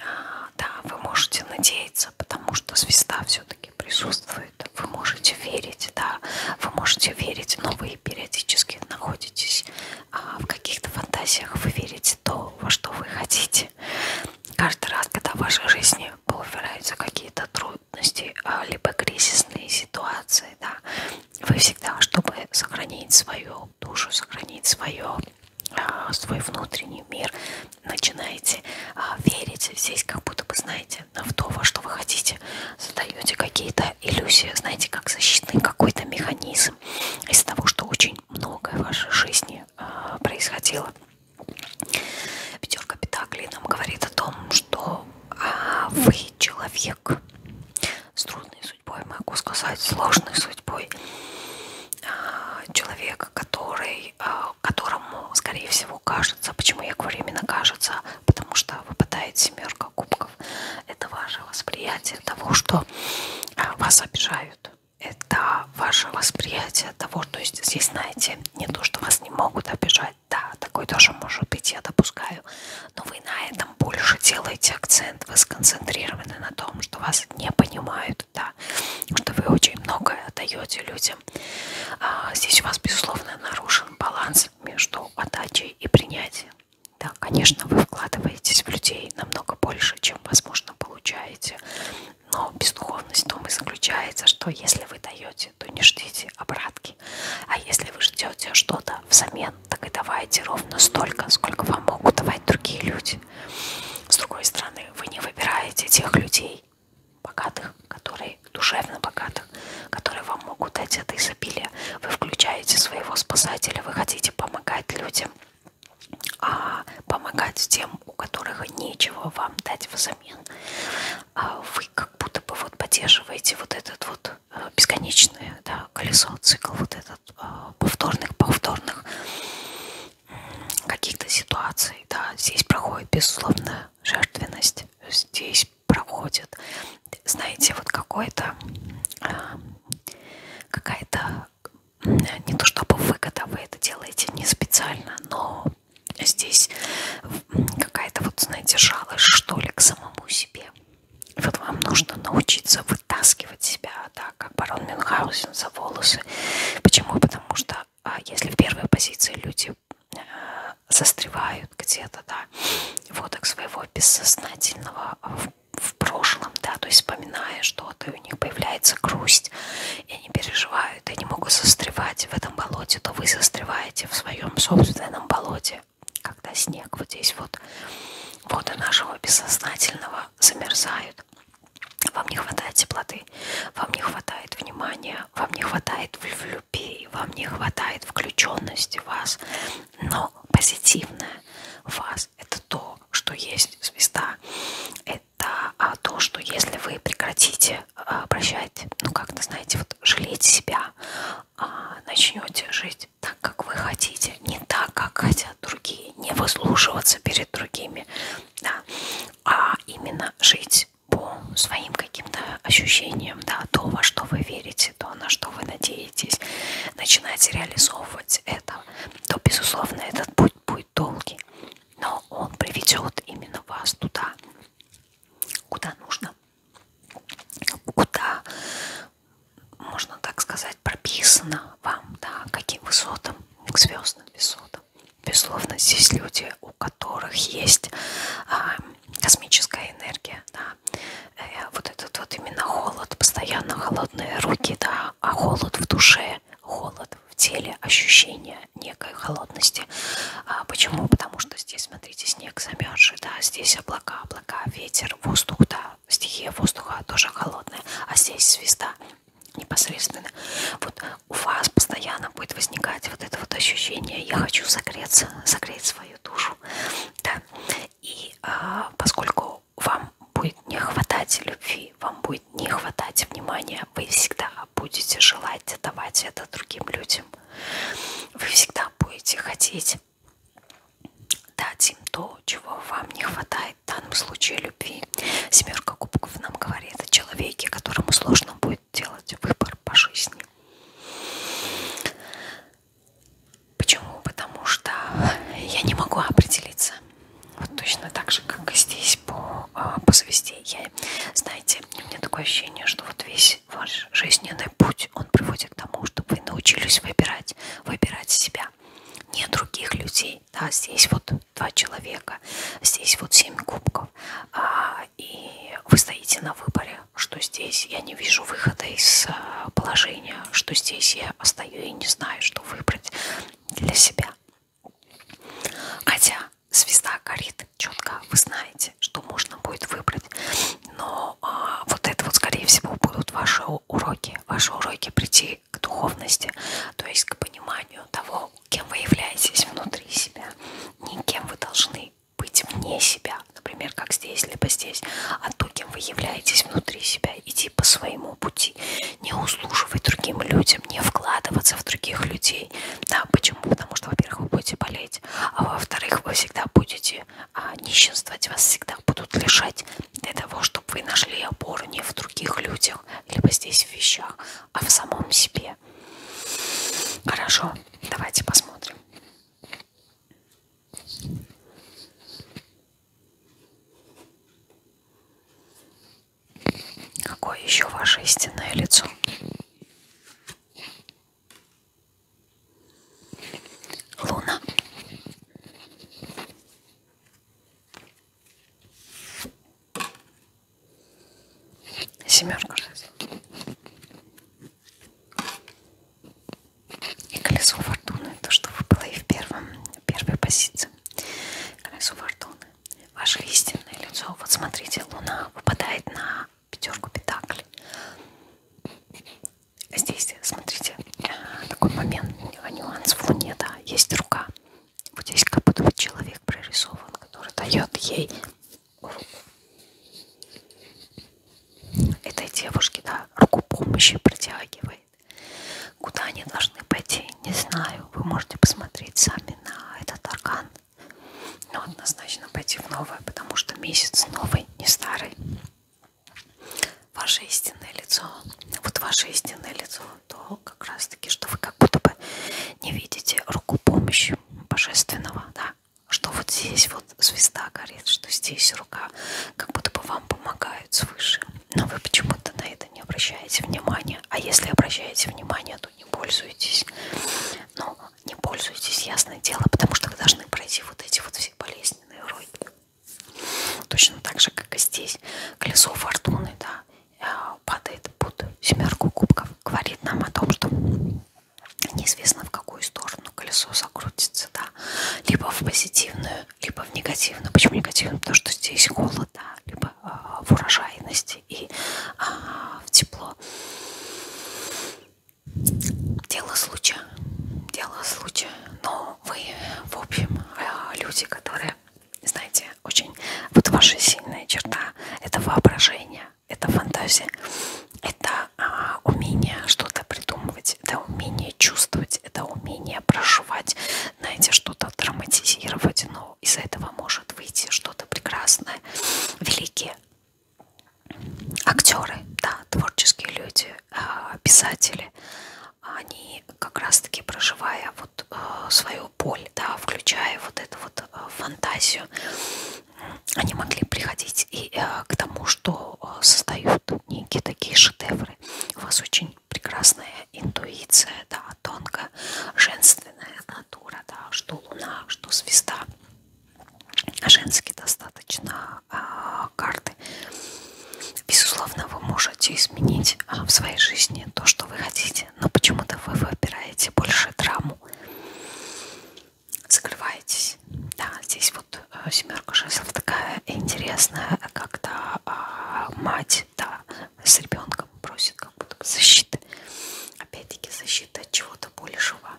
а, да, вы можете надеяться, потому что звезда все-таки все-таки присутствует. Вы можете верить, да, вы можете верить, но вы периодически находитесь а, в каких-то фантазиях, вы верите то, во что вы хотите. Каждый раз, когда в вашей жизни появляются какие-то трудности, а, либо кризисные ситуации, да, вы всегда, чтобы сохранить свою душу, сохранить свое а, свой внутренний мир, начинаете а, верить, здесь как будто бы, знаете, в то, во что вы хотите, создаете какие-то иллюзии, знаете, как защитный какой-то механизм из того, что очень многое в вашей жизни э, происходило. Пятерка Петаклей нам говорит о том, что э, вы человек с трудной судьбой, могу сказать, сложной судьбой, э, человек, который э, которому, скорее всего, кажется. Почему я говорю именно кажется? Потому что выпадает семерка кубков. Это ваше восприятие того, что э, вас обижают. Это ваше восприятие того, то есть здесь, знаете, не то, что вас не могут обижать. Да, такое тоже может быть, я допускаю. Но вы на этом больше делаете акцент. Вы сконцентрированы на том, что вас не понимают, да, что вы очень многое отдаете людям работе. А, здесь у вас, безусловно, нарушен баланс между отдачей и принятием. Да, конечно, вы вкладываетесь в людей намного больше, чем, возможно, получаете. Но бездуховность в том и заключается, что если вы даете, то не ждите обратки. А если вы ждете что-то взамен, так и давайте ровно столько, сколько вам могут давать другие люди. С другой стороны, вы не выбираете тех людей, людей богатых, которые душевно богатых, которые вам могут дать это изобилие. Вы включаете своего спасателя, вы хотите помогать людям, а помогать тем, у которых нечего вам дать взамен. А вы как будто бы вот поддерживаете вот этот вот э, бесконечное да, колесо, цикл вот этот э, повторных, повторных каких-то ситуаций. Да, здесь проходит безусловно жертвенность, есть здесь проходит, знаете, вот какой-то а, какая-то не то чтобы выгода, вы это делаете не специально, но здесь какая-то вот, знаете, жалость, что ли, к самому себе. Вот вам нужно научиться вытаскивать себя, да, как барон Мюнхгаузен за волосы. Почему? Потому что а если в первой позиции люди мысли застревают где-то, да, вот так своего бессознательного в, в прошлом, да, то есть вспоминая что-то, и у них появляется грусть, и они переживают, и они могут застревать в этом болоте, то вы застреваете в своем собственном болоте, когда снег вот здесь вот, воды нашего бессознательного замерзают, вам не хватает теплоты, вам не хватает внимания, вам не хватает в любви, вам не хватает включенности вас, но позитивное в вас это то, что есть звезда. Это а, то, что если вы прекратите а, обращать, ну как-то, знаете, вот жалеть себя, а, начнете жить так, как вы хотите, не так, как хотят другие, не выслушиваться перед другими, да, а именно жить по своим каким-то ощущениям, да, то, во что вы верите, то, на что вы надеетесь, начинаете реализовывать это, то, безусловно, этот путь будет долгий, но он приведет именно вас туда, куда нужно, куда, можно так сказать, прописано вам, да, каким высотам, к звездным высотам. Конечно, безусловно, здесь люди, у которых есть а, космическая энергия, да, э, вот этот вот именно холод, постоянно холодные руки, да, а холод в душе, холод в теле, ощущение некой холодности. А почему? Потому что здесь, смотрите, снег замерзший, да, здесь облака, облака, ветер, воздух, да, стихия воздуха тоже холодная, а здесь звезда непосредственно. Вот у вас постоянно будет возникать вот это вот ощущение «я хочу согреться, согреть свою душу». Да. И а, поскольку вам будет не хватать любви, вам будет не хватать внимания, вы всегда будете желать давать это другим людям. Вы всегда будете хотеть дать им то, чего вам не хватает, в данном случае любви. Семерка кубков нам говорит о человеке, которому сложно будет будет делать выбор по жизни. Почему? Потому что я не могу определиться. Вот точно так же, как и здесь по, а, по звезде. Я, знаете, у меня такое ощущение, что вот весь ваш жизненный путь, он приводит к тому, чтобы вы научились выбирать, выбирать себя. Не других людей. Да, здесь вот два человека, здесь вот семь кубков, а и вы стоите на выборе, что здесь я не вижу выхода из э, положения, что здесь я остаюсь и не знаю, что выбрать для себя. Хотя звезда горит четко, вы знаете, что можно будет выбрать. Но а, вот это вот, скорее всего, будут ваши уроки. Ваши уроки прийти к духовности, то есть к пониманию того, кем вы являетесь внутри себя, не кем вы должны быть вне себя, например, как здесь, либо здесь, а другим вы являетесь внутри себя, идти по своему пути, не услуживать другим людям, не вкладываться в других людей. Да, почему? Потому что, во-первых, вы будете болеть, а во-вторых, вы всегда будете а, нищенствовать, вас всегда будут лишать для того, чтобы вы нашли опору не в других людях, либо здесь в вещах, а в самом себе. Хорошо, давайте посмотрим. Какое еще ваше истинное лицо? Луна. Семерку раз. И колесо фортуны, то, что выпало и в первом, первой позиции. Колесо фортуны. Ваше истинное лицо. Вот смотрите, луна выпадает на пятерку петаклей. Здесь, смотрите, а, такой момент, а, нюанс в луне, да, есть рука. Вот здесь как будто бы человек прорисован, который дает ей этой девушке, да, руку помощи протягивает. Куда они должны пойти, не знаю. Вы можете посмотреть сами на этот аркан. Но однозначно пойти в новое, потому что месяц новый, не старый. Ваше истинное лицо, вот ваше истинное лицо, то как раз таки, что вы как будто бы не видите руку помощи божественного, да, что вот здесь вот звезда горит, что здесь рука, как будто бы вам помогают свыше. Но вы почему-то на это не обращаете внимания. А если обращаете внимание, то не пользуйтесь. Но ну, не пользуйтесь, ясное дело, потому что вы должны пройти вот эти вот все болезненные уроки. Точно так же, как и здесь. Колесо фортуны, да, э, падает под семерку кубков. Говорит нам о том, что неизвестно в какую сторону колесо закрутится, да, либо в позитивную, либо в негативную. Почему негативную? Потому что здесь холод, да, либо э, в урожайности и э, в тепло. Дело случая, дело случая. Но вы, в общем, э, люди, которые, знаете, очень, вот ваша сильная черта – это воображение это фантазия, это а, умение что-то придумывать, это умение чувствовать, это умение проживать, знаете, что-то драматизировать, но из этого может выйти что-то прекрасное. Великие актеры, да, творческие люди, а, писатели, они как раз-таки проживая вот э, свою боль, да, включая вот эту вот э, фантазию, они могли приходить и э, к тому, что э, создают некие такие шедевры. У вас очень прекрасная интуиция, да, тонкая, женственная натура, да, что луна, что звезда. Женские достаточно э, карты. Безусловно, вы можете изменить э, в своей жизни то, что вы хотите, но почему-то вы выбираете больше драму закрываетесь. Да, здесь вот э, семерка жезлов такая интересная, когда а, мать да, с ребенком просит как будто защиты. Опять-таки защита от чего-то большего,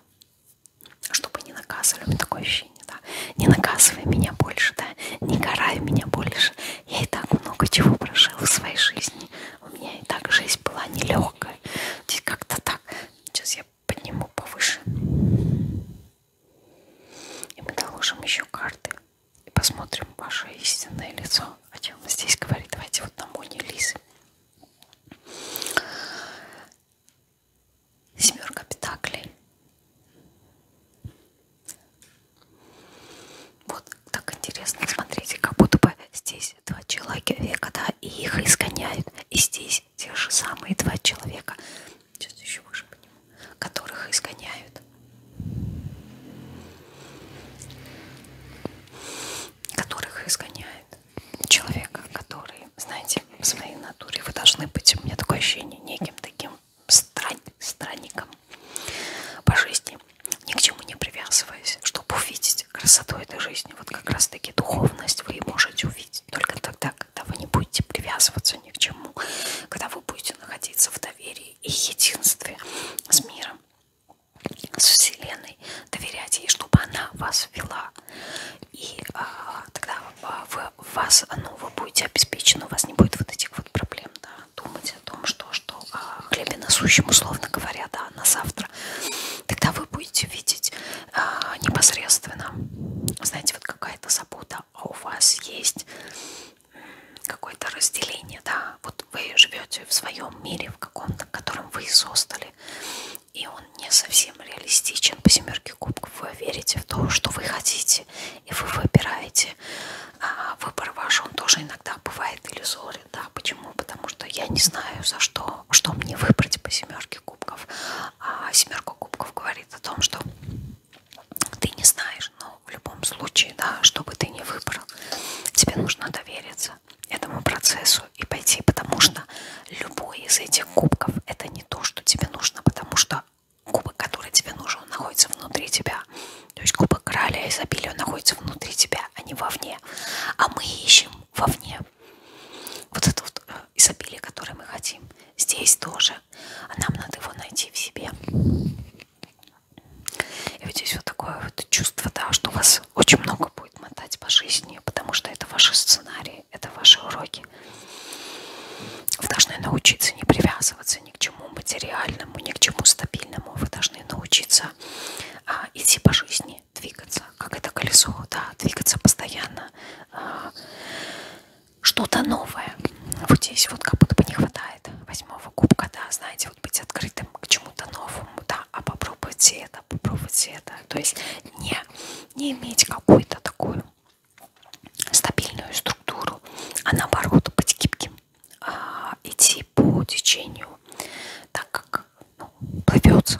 чтобы не наказывали. У меня такое ощущение, да. Не наказывай меня больше, да, не карай меня больше. Я и так много чего прошила в своей жизни. У меня и так жизнь была нелегкая знаю. Здесь как-то так. Сейчас я подниму повыше. И мы доложим еще карты. И посмотрим ваше истинное лицо. О чем он здесь говорит. Давайте вот на Моне Лизы. Семерка петаклей. Вот так интересно. Смотрите, как будто бы здесь здесь два человека, да, и их изгоняют. И здесь те же самые два человека, сейчас еще выше подниму, которых изгоняют. Которых изгоняют. Человека, который, знаете, в своей натуре вы должны быть, у меня такое ощущение, неким таким стран, странником по жизни, ни к чему не привязываясь, чтобы увидеть есть красоту этой жизни, вот как раз-таки духовность вы можете увидеть только тогда, когда вы не будете привязываться ни к чему, когда вы будете находиться в доверии и единстве с миром, с Вселенной, доверять ей, чтобы она вас вела. И а, тогда а, вы, вас, ну, вы будете обеспечены, у вас не будет вот этих вот проблем, да, думать о том, что, что а, хлебе насущим, условно говоря, да, на завтра мира, тогда вы будете видеть э, непосредственно, знаете, вот какая-то забота, а у вас есть какое-то разделение, да, вот вы живете в своем мире, в каком-то, котором вы создали, и он не совсем реалистичен по семерке кубков, вы верите в то, что вы хотите, и вы выбираете, а выбор ваш, он тоже иногда бывает иллюзорен, сделали, да, почему? Потому что я не знаю, за что, что мне выбрать по семерке кубков. А семерка кубков говорит о том, что ты не знаешь, но в любом случае, да, что бы ты ни выбрал, тебе нужно довериться этому процессу и пойти, потому что любой из этих кубков это не то, что тебе нужно, потому что кубок, который тебе нужен, он находится внутри тебя. То есть кубок короля изобилия находится внутри тебя, а не вовне. А мы ищем вовне. Вот это вот э, изобилие, которое мы хотим. Здесь тоже. А нам надо его найти в себе. И вот здесь вот такое вот чувство, да, что вас очень много будет мотать по жизни, потому что это ваши сценарии, это ваши уроки. Вы должны научиться не привязываться ни к чему материальному, ни к чему стабильному. Вы должны научиться а, идти по жизни жизни двигаться, как это колесо, да, двигаться постоянно, а, что-то новое. Вот здесь вот как будто бы не хватает восьмого кубка, да, знаете, вот быть открытым к чему-то новому, да, а попробуйте это, попробуйте это. То есть не, не иметь какую-то такую стабильную структуру, а наоборот быть гибким, а идти по течению, так как ну, плывет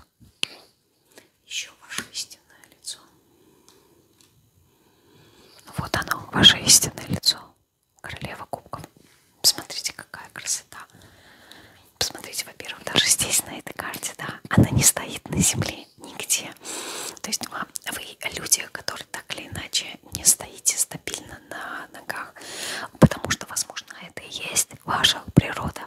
еще ваше истинное лицо. Вот оно, ваше истинное лицо. Королева кубков. Посмотрите, какая красота. Посмотрите, во-первых, даже здесь, на этой карте, да, она не стоит на земле нигде. То есть вам, вы люди, которые так или иначе не стоите стабильно на ногах, потому что, возможно, это и есть ваша природа.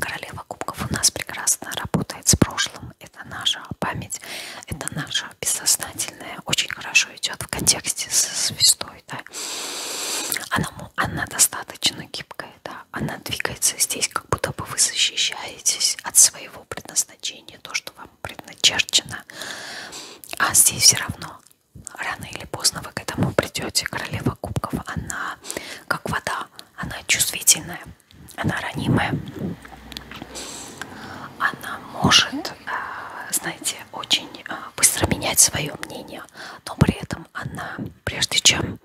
Королева кубков у нас прекрасно работает с прошлым. Это наша память, это наша бессознательная. Очень хорошо идет в контексте со звездой. Да? Она, она достаточно гибкая. Да? Она двигается здесь, как будто бы вы защищаетесь от своего предназначения, то, что вам предначерчено. А здесь все равно рано или поздно вы к этому придете. Королева кубков, она как вода, она чувствительная, она ранимая. Она может, э, знаете, очень э, быстро менять свое мнение, но при этом она, прежде чем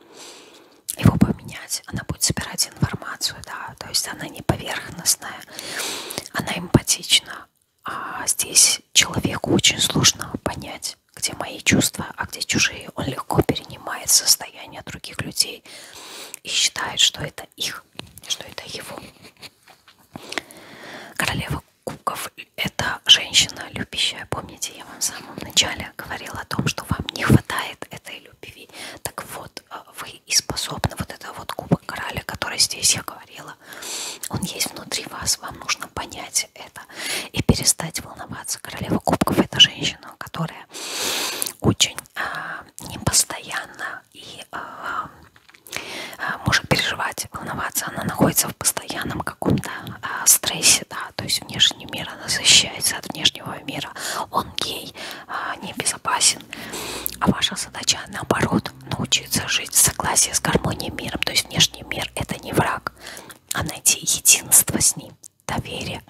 его поменять, она будет собирать информацию, да, то есть она не поверхностная, она эмпатична. А здесь человеку очень сложно понять понять, где мои чувства, а где чужие. Он легко перенимает состояние других людей и считает, что это их, что это его. Королева кубков – это женщина, любящая. Помните, я вам в самом начале говорила о том, что вам не хватает этой любви. Так вот, э, вы и способны. Вот это вот кубок короля, который здесь я говорила, он есть внутри вас. Вам нужно понять принять это и перестать волноваться. Королева кубков это женщина, которая очень а, непостоянна и а, а, может переживать, волноваться. Она находится в постоянном каком-то а, стрессе, да, то есть внешний мир, она защищается от внешнего мира. Он гей, а, небезопасен. А ваша задача наоборот научиться жить в согласии с гармонией миром. То есть внешний мир это не враг, а найти единство с ним, доверие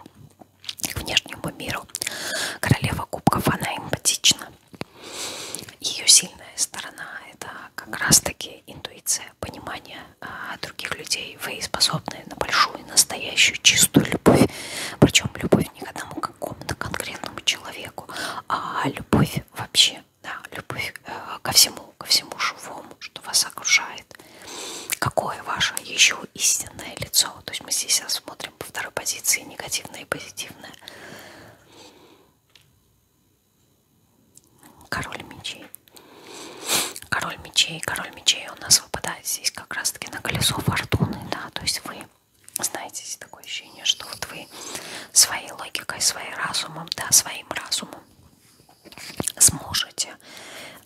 к внешнему миру. Королева кубков, она эмпатична. Ее сильная сторона – это как раз-таки интуиция, понимание а, других людей. Вы способны на большую, настоящую, чистую любовь. Причем любовь не к одному какому-то конкретному человеку, а любовь вообще да, любовь э, ко всему, ко всему живому, что вас окружает. Какое ваше еще истинное лицо? То есть мы здесь рассмотрим по второй позиции негативное и позитивное. Король мечей. Король мечей, король мечей у нас выпадает здесь как раз-таки на колесо фортуны, да, то есть вы знаете, здесь такое ощущение, что вот вы своей логикой, своим разумом, да, своим разумом сможете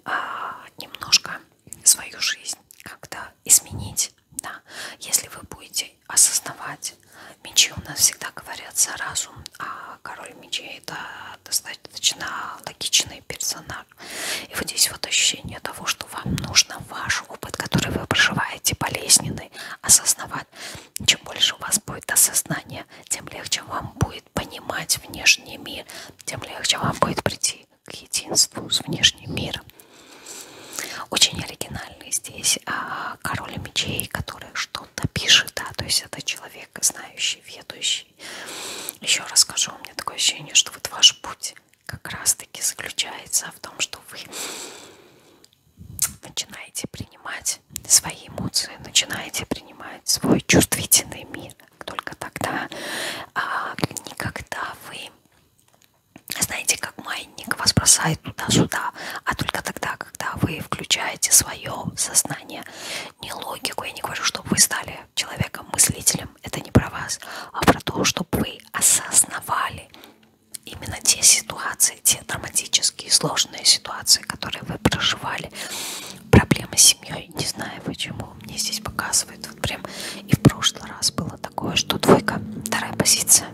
а, немножко свою жизнь как-то изменить. Да? Если вы будете осознавать, мечи у нас всегда говорят за разум, а король мечей это достаточно логичный персонаж. И вот здесь вот ощущение того, что вам нужно ваш опыт, который вы проживаете, болезненный, осознавать. Чем больше у вас будет осознания, тем легче вам будет понимать внешний мир, тем легче вам будет прийти к единству с внешним миром. Очень оригинальный здесь а, король мечей, который что-то пишет, да, то есть это человек, знающий, ведущий. Еще раз скажу, у меня такое ощущение, что вот ваш путь как раз-таки заключается в том, что вы начинаете принимать принимать свои эмоции, начинаете принимать свой чувствительный мир. Только тогда, а, никогда вы, знаете, как маятник вас бросает туда-сюда, а только тогда, когда вы включаете свое сознание, не логику, я не говорю, чтобы вы стали человеком-мыслителем, это не про вас, а про то, чтобы вы осознавали именно те ситуации, те драматические, сложные ситуации, которые вы проживали, проблемы с семьей, не знаю почему, мне здесь показывают, вот прям и в прошлый раз было такое, что двойка, вторая позиция,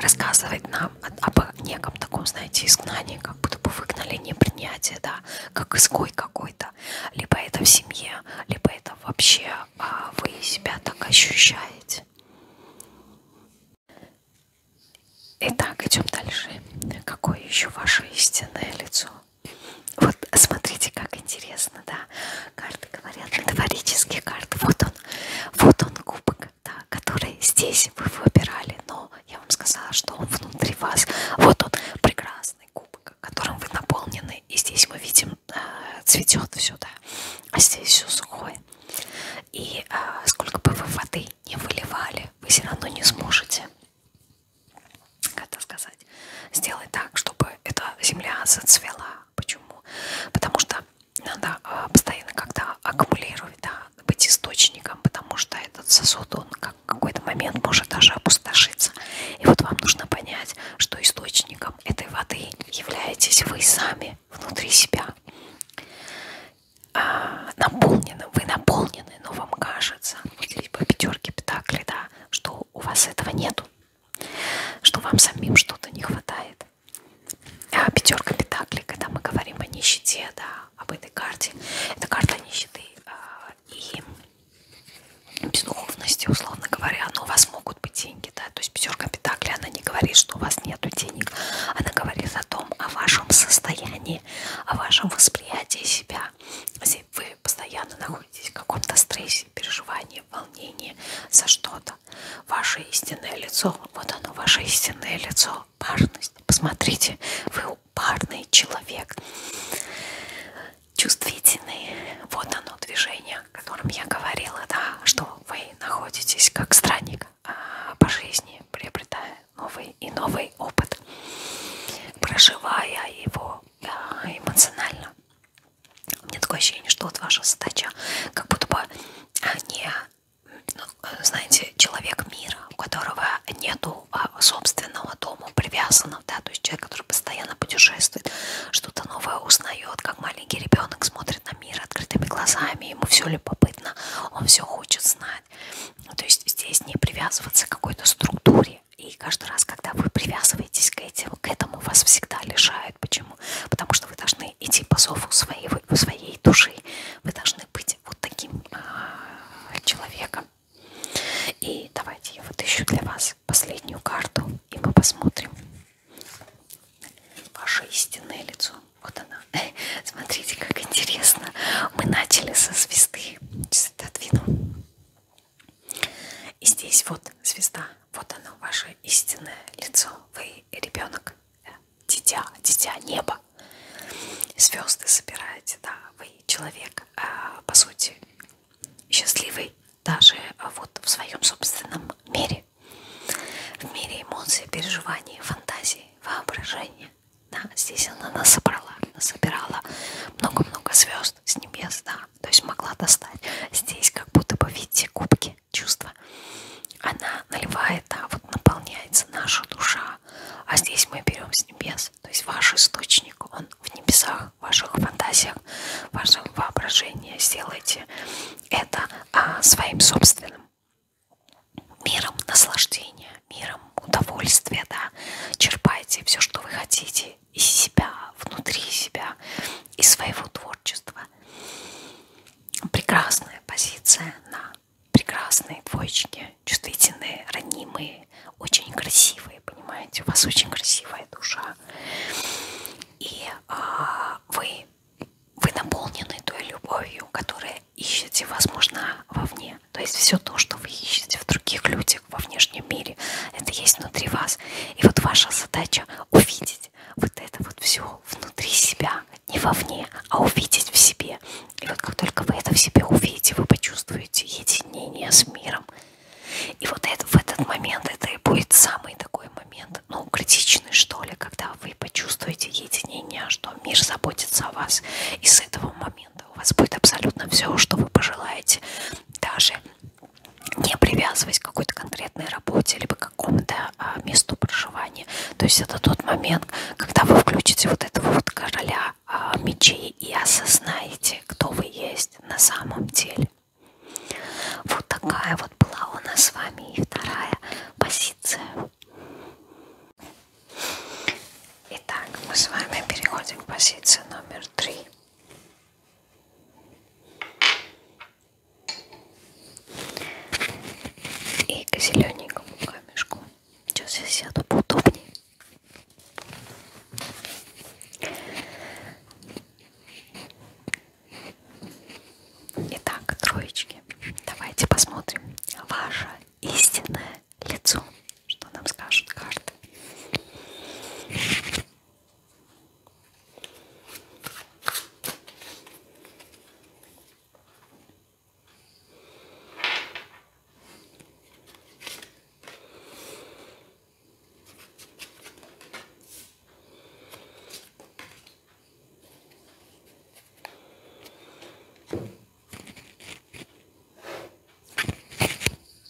рассказывает нам об неком таком, знаете, изгнании, как будто бы выгнали непринятие, да, как изгой какой-то, либо это в семье, либо это вообще а вы себя так ощущаете. Итак, идем дальше. Какое еще ваше истинное лицо? Вот смотрите, как интересно, да? Карты говорят, метафорические карты. Вот он, вот он кубок, да, который здесь вы выбирали, но я вам сказала, что он внутри вас. Вот он, прекрасный кубок, которым вы наполнены. И здесь мы видим, э, цветет все, да, а здесь все сухое. И э, сколько бы вы воды не выливали, вы все равно не сможете как это сказать, сделать так, чтобы эта земля зацвела. Почему? Потому что надо а, постоянно как-то аккумулировать, да, быть источником, потому что этот сосуд, он как в какой-то момент может даже опустошиться. И вот вам нужно понять, что источником этой воды являетесь вы сами внутри себя а, наполнены, вы наполнены, но вам кажется, вот здесь по пятерке Петакли, да, что у вас этого нету, что вам самим что-то не хватает. А пятерка Петакли, когда мы говорим о нищете, да, об этой карте, это карта нищеты а, и бездуховности, условно говоря, но у вас могут быть деньги, да, то есть пятерка Петакли, она не говорит, что у вас нету денег, она говорит о том, о вашем состоянии, мире, о вашем восприятии себя. Если вы постоянно находитесь в каком-то стрессе, переживании, волнении за что-то, ваше истинное лицо, вот оно, ваше истинное лицо, парность. Посмотрите, вы парный человек, чувствительный. Вот оно движение, о котором я говорила, да, что вы находитесь как странник а, по жизни, приобретая новый и новый опыт, проживая его эмоционально. У меня такое ощущение, что вот ваша задача как будто бы а, не, ну, знаете, человек мира, у которого нету а, собственного дома привязанного, да, то есть человек, который постоянно путешествует, что-то новое узнает, как маленький ребенок смотрит на мир открытыми глазами, ему все любопытно, он все хочет знать. Ну, то есть здесь не привязываться к какой-то структуре. И каждый раз, когда вы привязываетесь к этому, к этому вас всегда лишают. Почему? Потому что вы должны идти по зову своей, своей души. Вы должны быть вот таким э, человеком. И давайте я вытащу для вас последнюю карту, и мы посмотрим ваше истинное лицо. Вот она. Смотрите, как интересно. Мы начали со звезды. Сейчас отодвину. И здесь вот звезда. Вот оно, ваше истинное лицо. Вы ребенок, э, дитя, дитя неба. Звезды собираете, да. Вы человек, э, по сути, счастливый даже э, вот в своем собственном мире. В мире эмоций, переживаний, фантазий, воображения. Да, здесь она нас собрала, собирала много-много звезд с небес, да, то есть могла достать. Здесь как будто бы, видите, кубки, чувства. Она наливает, да, вот наполняется наша душа, а здесь мы берем с небес, то есть ваш источник, он в небесах, в ваших фантазиях, в вашем воображении. Сделайте это а, своим собственным миром наслаждения, миром удовольствия, да, черпайте все, что вы хотите из себя, внутри себя, из своего творчества. Прекрасная позиция на прекрасные двоечки, чувствительные, ранимые, очень красивые, понимаете, у вас очень красивая душа. И а, вы, вы наполнены той любовью, которая ищете, возможно, вовне. То есть все то, что вы ищете в других людях, во внешнем мире, это есть внутри вас. И вот ваша задача увидеть вот это вот все внутри себя, не вовне, а увидеть в себе. И вот как только вы это в себе увидите, вы почувствуете единение с миром. И вот это, в этот момент это и будет самый такой момент, ну, критичный, что ли, когда вы вы почувствуете единение, что мир заботится о вас. И с этого момента у вас будет абсолютно все, что вы пожелаете. Даже не привязываясь к какой-то конкретной работе либо к какому-то а, месту проживания. То есть это тот момент, когда вы включите вот этого вот короля а, мечей и осознаете, кто вы есть на самом деле. Вот такая вот была у нас с вами и вторая позиция. Итак, мы с вами переходим к позиции номер три. И к зелененькому камешку. Сейчас я сяду поудобнее. Итак, троечки, давайте посмотрим. Ваша истинное лицо, что нам скажут карты.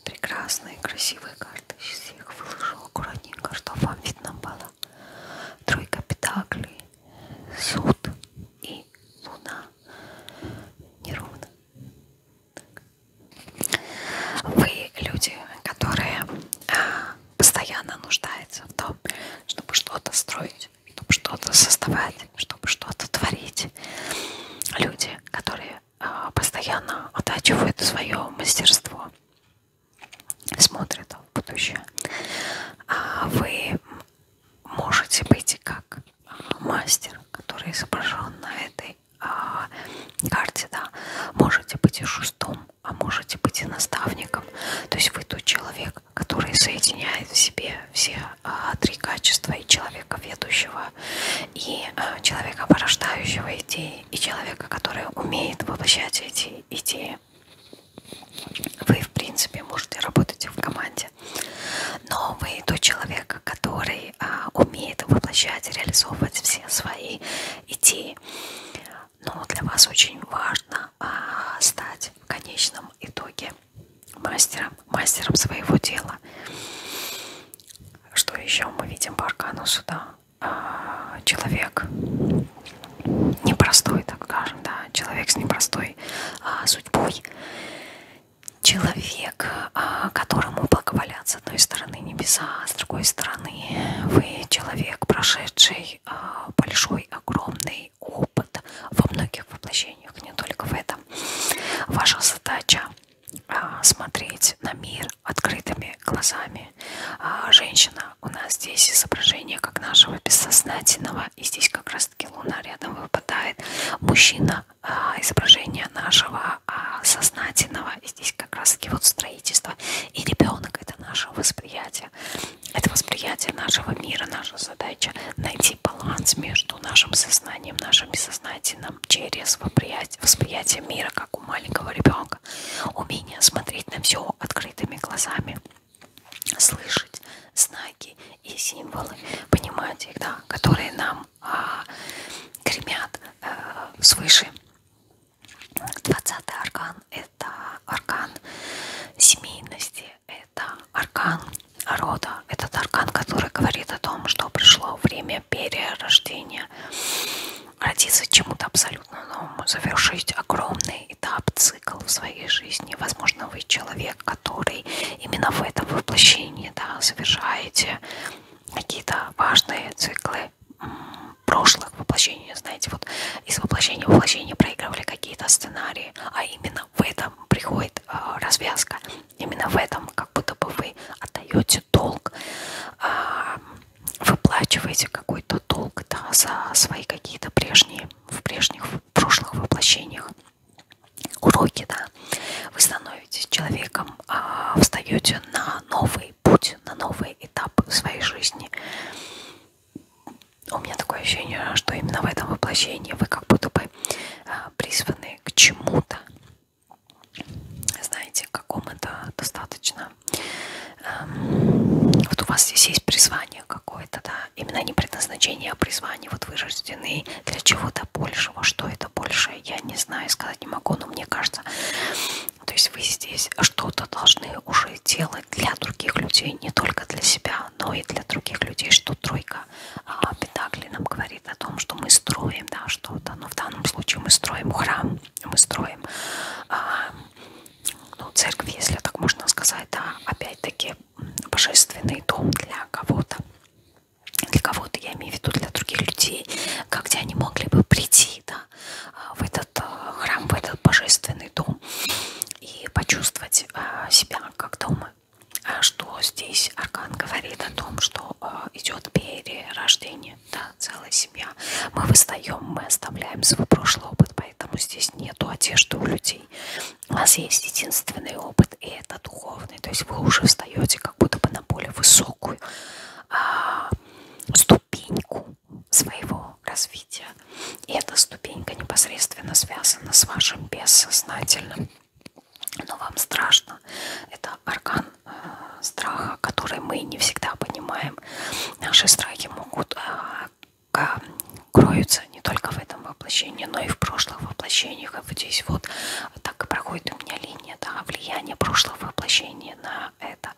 Прекрасные, красивые карты. Сейчас я их выложу аккуратненько, чтобы вам видно было. Тройка петаклей, суд и луна. Неровно. Вы люди, которые а, постоянно нуждаются в том, чтобы что-то строить, делать, чтобы что-то создавать, чтобы что-то творить. Люди, которые а, постоянно оттачивают свое мастерство, смотрят в будущее. А вы можете быть как а, мастер, который изображен на этой карте, да, можете быть и шестом, а можете быть и наставником. То есть вы тот человек, который соединяет в себе все а, три качества и человека ведущего, и а, человека порождающего идеи, и человека, который умеет воплощать эти идеи. Вы, в принципе, можете работать в команде, но вы тот человек, который а, умеет воплощать, реализовывать все свои идеи. Но для вас очень важно а, стать в конечном итоге мастером, мастером своего дела. Что еще мы видим по аркану суда? А, человек непростой, так скажем, да, человек с непростой а, судьбой. Человек, а, которому благоволят с одной стороны небеса, а с другой стороны вы человек, прошедший а, большой, огромный богатый опыт во многих воплощениях, не только в этом. Ваша задача а, смотреть на мир открытыми глазами. А, женщина у нас здесь изображение как нашего бессознательного, и здесь как раз таки луна рядом выпадает. Мужчина а, изображение нашего сознательного, и здесь как раз таки вот строительство. И ребенок это наше восприятие. Это восприятие нашего мира, наша задача найти баланс между нашим сознанием, нашим несознательным через восприятие, восприятие мира, как у маленького ребенка. Умение смотреть на все открытыми глазами, слышать знаки и символы, понимать их, да, которые нам а, гремят а, свыше. 20 аркан – это аркан семейности, это аркан рода. Этот аркан, который говорит о том, что пришло время перерождения. Родиться чему-то абсолютно новому, завершить огромный этап, цикл в своей жизни. Возможно, вы человек, который именно в этом воплощении да, совершаете какие-то важные циклы прошлых воплощений. Знаете, вот из воплощения в воплощение проигрывали какие-то сценарии, а именно именно в этом приходит э, развязка, именно в этом, как будто бы вы отдаете долг, э, выплачиваете какой-то долг да, за свои какие-то прежние, в прежних, в прошлых воплощениях уроки, да, вы становитесь человеком, э, а, встаете на новый путь, на новый этап в своей жизни у меня такое ощущение, что именно в этом воплощении вы как будто бы а, призваны к чему-то, знаете, к какому-то достаточно. Эм, вот у вас здесь есть призвание какое-то, да, именно не предназначение, а призвание. Вот вы рождены для чего-то большего. Что это большее, я не знаю, сказать не могу, но мне кажется, то есть вы здесь что-то должны уже делать для других людей, не только для себя, но и для других людей, что тройка много. А Пентакли нам говорит о том, что мы строим да, что-то, но в данном случае мы строим храм, мы строим а, ну, церковь, если так можно сказать, да, опять-таки божественный дом для кого-то. Для кого-то, я имею в виду для других людей, где они могли бы прийти да, в этот э, храм, в этот божественный дом и почувствовать э, себя как дома. А что здесь Аркан говорит о том, что э, идет перерождение, да, целая семья. Мы выстаем, мы оставляем свой прошлый опыт, поэтому здесь нету одежды у людей. У вас есть единственный опыт, и это духовный. То есть вы уже встаете как будто бы на более высокую а, ступеньку своего развития. И это ступенька непосредственно связана с вашим бессознательным. Но вам страшно. Это орган э, страха, который мы не всегда понимаем. Наши страхи могут э, кроются не только в этом воплощении, но и в прошлых воплощениях. И вот здесь вот так и проходит у меня линия, да, влияние прошлого воплощения на это.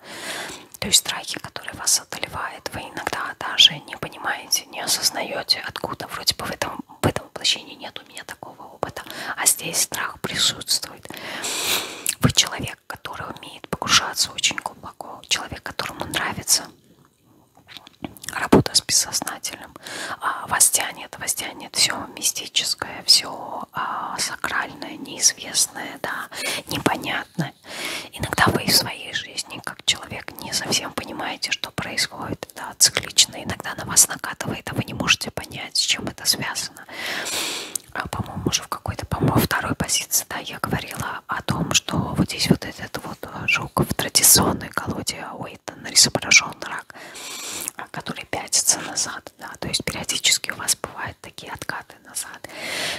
То есть страхи, которые вас одолевают, вы иногда даже не понимаете, не осознаете, откуда вроде бы в этом в этом воплощении нет у меня такого опыта, а здесь страх присутствует. Вы человек, который умеет погружаться очень глубоко, человек, которому нравится работа с бессознательным, а, вас тянет, вас тянет все мистическое, все а, сакральное, неизвестное, да, непонятное. Иногда вы в своей жизни, как человек, так не совсем понимаете, что происходит, да, циклично, иногда на вас накатывает, а вы не можете понять, с чем это связано. А, по-моему, уже в какой-то, по-моему, второй позиции, да, я говорила о том, что вот здесь вот этот вот э, жук в традиционной колоде Уиттона изображен рак, а, который пятится назад, да, то есть периодически у вас бывают такие откаты назад,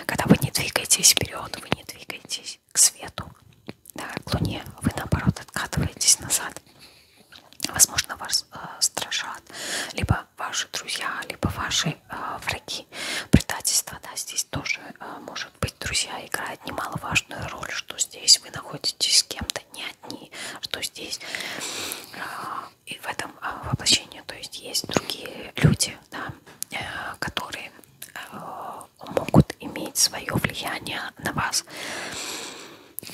когда вы не двигаетесь вперед, вы не двигаетесь к свету, да, к Луне, вы наоборот откатываетесь назад. Возможно, вас э, страшат либо ваши друзья, либо ваши э, враги. Предательство, да, здесь тоже э, может быть, друзья, играет немаловажную роль, что здесь вы находитесь с кем-то не одни, что здесь э, и в этом э, воплощении, то есть есть другие люди, да, э, которые э, могут иметь свое влияние на вас.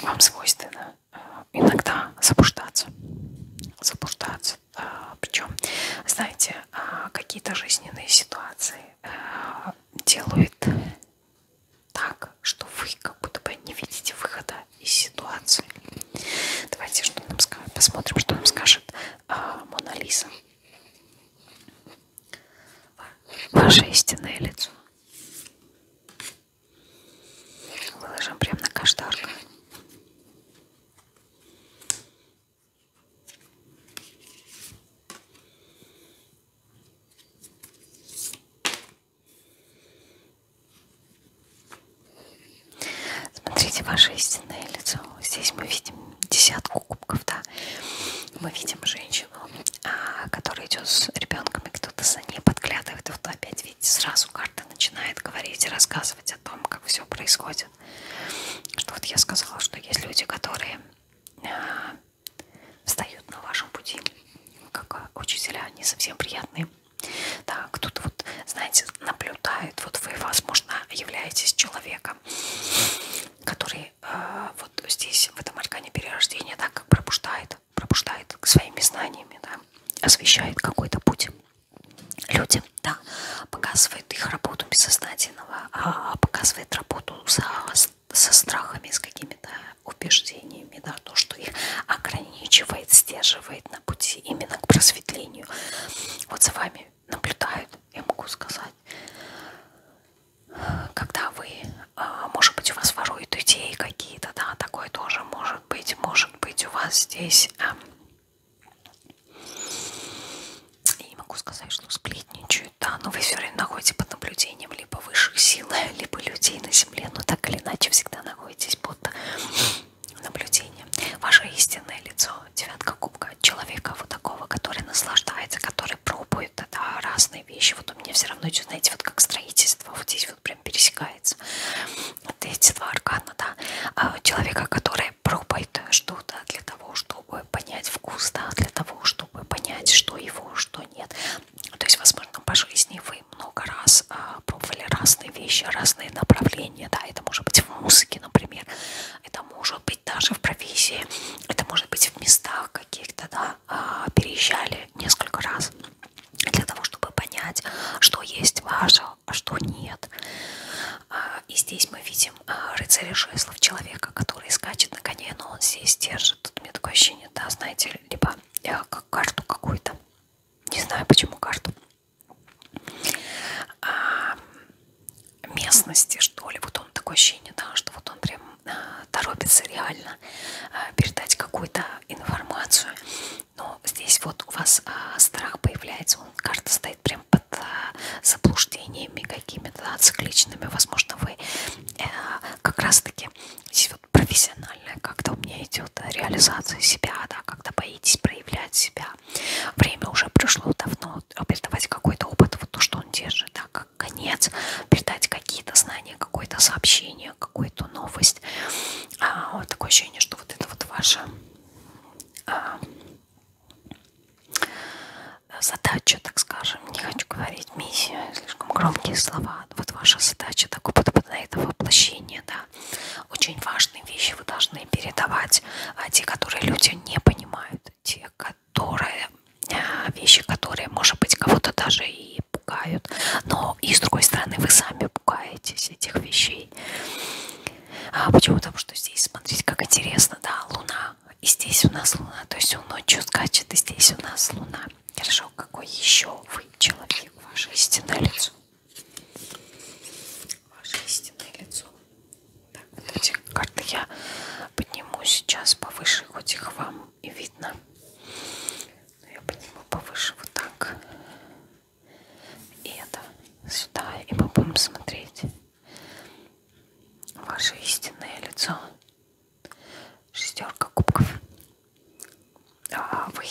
Вам свойственно э, иногда заблуждаться. Заблуждаться. Э, Причем, знаете, э, какие-то жизненные ситуации делают так, что вы как будто бы не видите выхода из ситуации. Давайте что нам посмотрим, что нам скажет Мона Лиза ваше истинное лицо. Выложим прямо на каштарку. Смотрите ваше истинное лицо. Здесь мы видим десятку кубков, да. Мы видим женщину ночью, а, который идет с ребенком, и кто-то за ней подглядывает, и вот опять, видите, сразу карта начинает говорить и рассказывать о том, как все происходит. Что вот я сказала, что есть люди, которые а, встают на вашем пути, как учителя, они совсем приятные. Да, кто-то вот, знаете, наблюдает, вот вы, возможно, являетесь человеком, который который а, э, вот здесь, в этом аркане перерождения, да, как пробуждает, пробуждает своими знаниями, да, освещает какой-то путь людям, да, показывает их работу бессознательного, а показывает работу со, со страхами, с какими-то убеждениями, да, то, что их ограничивает, сдерживает на пути именно к просветлению. Вот за вами наблюдают, я могу сказать, когда вы, а, может быть, у вас воруют идеи какие-то, да, такое тоже может быть, может быть, у вас здесь, эм, я не могу сказать, что сплетничают, да, но вы все время находите под наблюдением либо высших сил, либо людей на земле, но так или иначе всегда находитесь под наблюдением. Ваше истинное лицо, девятка кубка, человека вот такого, который наслаждается, который пробует, какой-то, да, разные вещи. Вот у меня все равно идет, знаете, вот как строительство, вот здесь вот прям пересекается. Вот эти два аркана, да, а человека, который пробует что-то для того, чтобы понять вкус, да, для того, чтобы понять, что его, что нет. То есть, возможно, по жизни вы много раз а, пробовали разные вещи, разные направления, да, это может быть в музыке, например, это может быть быть даже в провизии, это может быть в местах каких-то, да, а, переезжали несколько раз для того, чтобы понять, что есть ваше, а что нет. А, и здесь мы видим а, рыцаря жезлов, человека, который скачет на коне, но он здесь держит. Тут у меня такое ощущение, да, знаете, либо я э, как карту какую-то, не знаю почему карту, местности, что ли. Вот он такое ощущение, да, что вот он прям торопится реально а, передать какую-то информацию. Но здесь вот у вас а, страх появляется, он карта стоит прям под а, заблуждениями какими-то цикличными. Возможно, вы э, как раз-таки здесь вот профессиональная как-то у меня идет реализация себя, да, когда боитесь проявлять себя. Время уже пришло давно, передавать какой-то опыт, вот то, что он держит, да, как конец, передать какие-то знания, какое-то сообщение, какую-то новость. А, вот такое ощущение, что вот это вот ваша а, задача, так скажем, не хочу говорить миссия, слишком громкие слова. Вот ваша задача, такой подход на это воплощение, да. Очень важные вещи вы должны передавать, а те, которые люди не понимают те, которые а, вещи, которые, может быть, кого-то даже и пугают, но и с другой стороны вы сами пугаетесь этих вещей. А почему? Потому что здесь, смотрите, как интересно, да, Луна, и здесь у нас Луна, то есть он ночью скачет, и здесь у нас Луна. Хорошо, какой еще вы человек, ваше истинное лицо? Ваше истинное лицо. Так, вот эти карты я подниму сейчас повыше, хоть их вам и видно. Но ну, я подниму повыше вот так. И это сюда. И мы будем смотреть ваше истинное лицо. Шестерка кубков. А, а вы...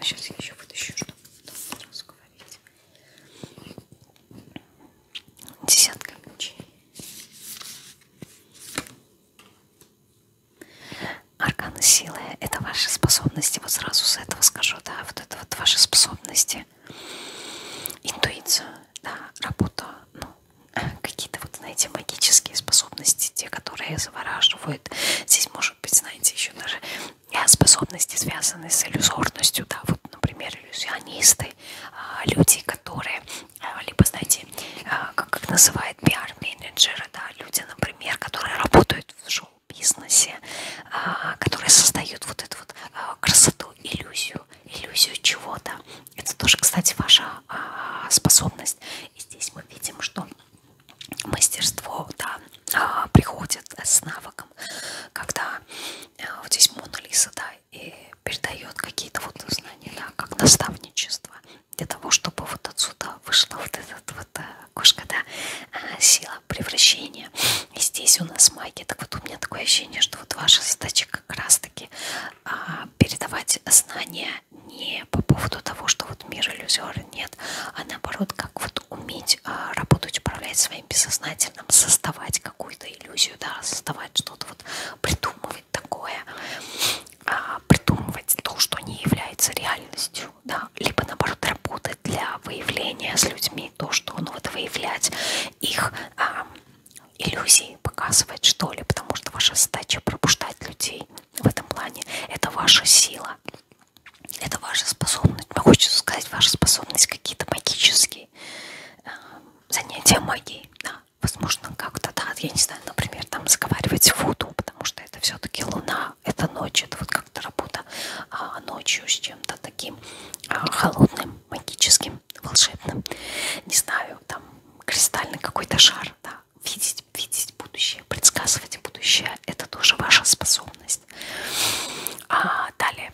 Сейчас э, я еще вытащу, чтобы разговорить. Десятка ключей. Арканы силы – это ваши способности. Вот сразу с этого скажу, да, вот это вот ваши способности. Интуицию, да, работу, ну, какие-то вот, знаете, магические способности, те, которые завораживают. Здесь, может быть, знаете, еще даже способности, связанные с иллюзорностью, да, вот, например, иллюзионисты, а, люди, которые а, либо, знаете, а, как, как называют пиар-менеджеры, да, люди, например, которые работают в шоу-бизнесе, а, которые создают вот эту вот красоту, иллюзию, иллюзию чего-то. Это тоже, кстати, ваша способность. И здесь мы видим, что мастерство, да, приходит с навыком, когда э, вот здесь Мона Лиса, да, и передает какие-то вот знания, да, как наставничество для того, чтобы вот отсюда вышла вот этот вот окошко, э, да, а, сила превращения. И здесь у нас магия. Так вот у меня такое ощущение, что вот ваша задача как раз-таки а, передавать знания не по поводу того, что вот мир иллюзиор нет, а наоборот, как вот уметь а, работать, управлять своим бессознательным, создавать какую-то иллюзию, да, создавать что-то вот придумывать придумывать такое, а, придумывать то, что не является реальностью, да, либо наоборот работать для выявления с людьми то, что ну вот выявлять их а, иллюзии, показывать что ли, потому что ваша задача пробуждать людей в этом плане, это ваша сила, это ваша способность, хочется сказать, ваша способность какие-то магические а, занятия магией, да, возможно, как-то, да, я не знаю, например, там заговаривать воду, потому что это все-таки луна, это ночь, это вот как-то работа а, ночью с чем-то таким а, холодным, магическим, волшебным. Не знаю, там кристальный какой-то шар, да, видеть, видеть будущее, предсказывать будущее, это тоже ваша способность. А далее,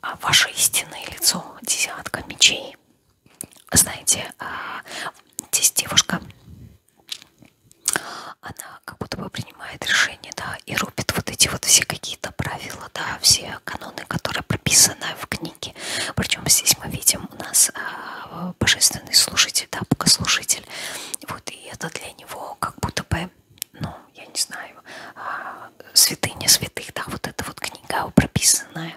а ваше истинное лицо, десятка мечей, знаете, а, здесь девушка, она как будто бы принимает решение, да, и рубит вот эти вот все какие-то правила, да, все каноны, которые прописаны в книге. Причем здесь мы видим у нас а, божественный слушатель, да, богослушатель. Вот, и это для него как будто бы, ну, я не знаю, а, святыня святых, да, вот эта вот книга прописанная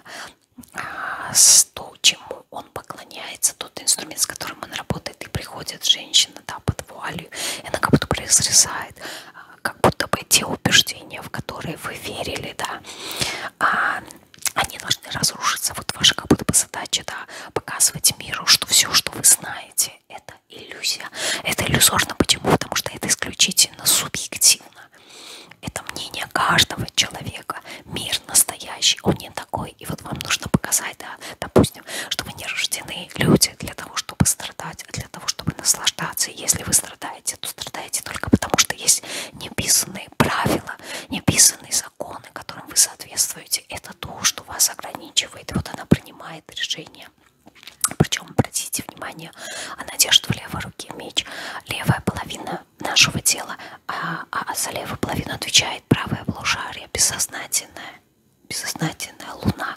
то, чему он поклоняется, тот инструмент, с которым он работает, и приходит женщина да, под вуалью, и она как будто бы разрезает, а, как будто бы те убеждения, в которые вы верили, да, а, они должны разрушиться. Вот ваша как будто бы задача, да, показывать миру, что все, что вы знаете, это иллюзия. Это иллюзорно. Почему? Потому что это исключительно субъективно. Это мнение каждого человека. Мир настоящий, он не такой. И вот вам нужно показать, да, допустим, что вы не рождены люди для того, чтобы страдать, а для того, чтобы наслаждаться. И если вы страдаете, то страдаете только потому, что есть неписанные правила, неписанные законы, которым вы соответствуете. Это то, что вас ограничивает. И вот она принимает решение. Причем, обратите внимание, она держит в левой руке меч. Левая половина нашего тела, а, а, а за левую половину отвечает правое полушарие, бессознательное, бессознательная луна.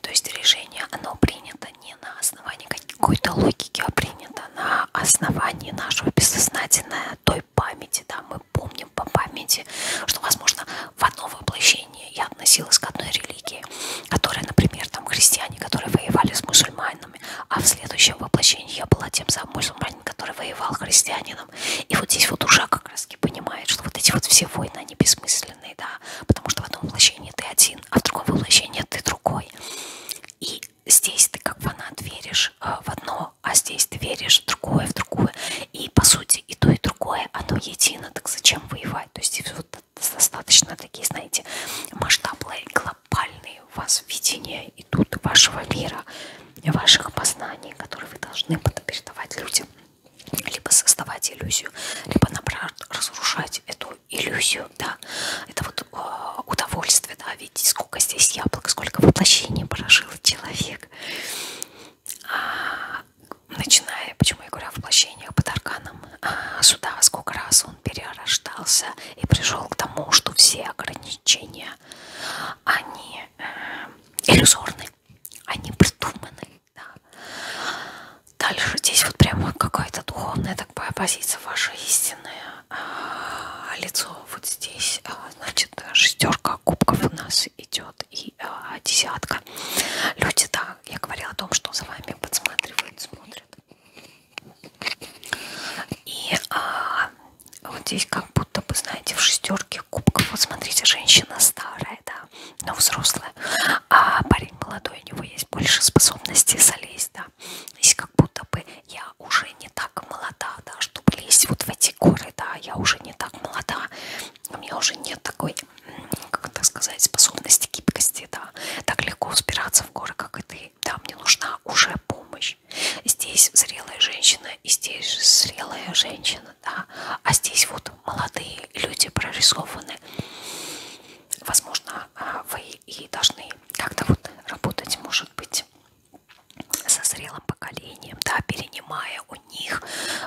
То есть решение, оно принято не на основании какой-то логики, а принято на основании нашего бессознательной той памяти, да, мы помним по памяти, что, возможно, в одно воплощение я относилась к одной религии, которая, например, там христиане, которые воевали с мусульманами, мусульманами, а в следующем воплощении я была тем самым мусульманином, который воевал христианином. И вот здесь вот душа как раз и понимает, что вот эти вот все войны, они бессмысленные, да, потому что в одном воплощении ты один, а в другом воплощении ты другой. И здесь ты как фанат веришь э, в одно, а здесь ты веришь в другое, в другое. И по сути и то, и другое, оно едино, так зачем воевать? То есть вот достаточно такие, знаете, масштабные глобальные у вас видения идут вашего мира, ваших познаний, которые вы должны потом передавать людям. Либо создавать иллюзию, либо, наоборот, разрушать эту иллюзию, да. Это вот э, удовольствие, да, видите, сколько здесь яблок, сколько воплощений прожил человек. А, начиная, почему я говорю о воплощениях под арканом а, суда, сколько раз он перерождался и пришел к тому, что все ограничения, они э, иллюзорны, они придуманы. Да. Дальше здесь вот прямо какая-то духовная такая позиция, ваша истинная э, лицо. Вот здесь, э, значит, шестерка кубков у нас идет и э, десятка. Люди, да, я говорила о том, что за вами подсматривают, смотрят. И а, вот здесь как будто бы, знаете, в шестерке кубков. Вот смотрите, женщина старая, да, но взрослая. А парень молодой, у него есть больше способностей залезть, да. Здесь как будто бы я уже не так молода, да, чтобы лезть вот в эти горы, да, я уже не так молода. У меня уже нет такой, как так сказать, способности гибкости, да. Так легко взбираться в горы, как это сестрой. Да, мне нужна уже помощь. Здесь зрелая женщина, и здесь зрелая женщина, да. А здесь вот молодые люди прорисованы. Возможно, а, вы и должны как-то вот работать, может быть, со зрелым поколением, да, перенимая у них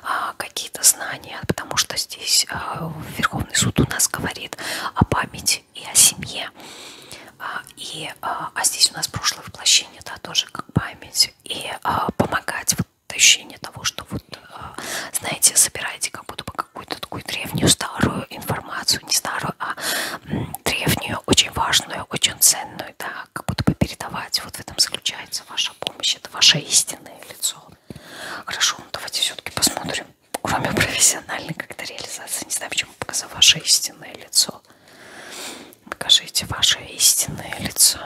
а, какие-то знания, потому что здесь а, Верховный суд у нас говорит о памяти работе и о семье. А, и, а, а здесь у нас прошлое воплощение, да, тоже как память. И а, помогать вот ощущение того, что вот, а, знаете, собираете как будто бы какую-то такую древнюю старую информацию, не старую, а м, древнюю, очень важную, очень ценную, да, как будто бы передавать. Вот в этом заключается ваша помощь, это ваше истинное лицо. Хорошо, ну давайте все-таки посмотрим кроме профессиональной как-то реализации. Не знаю, почему показал ваше истинное лицо. Покажите ваше истинное лицо.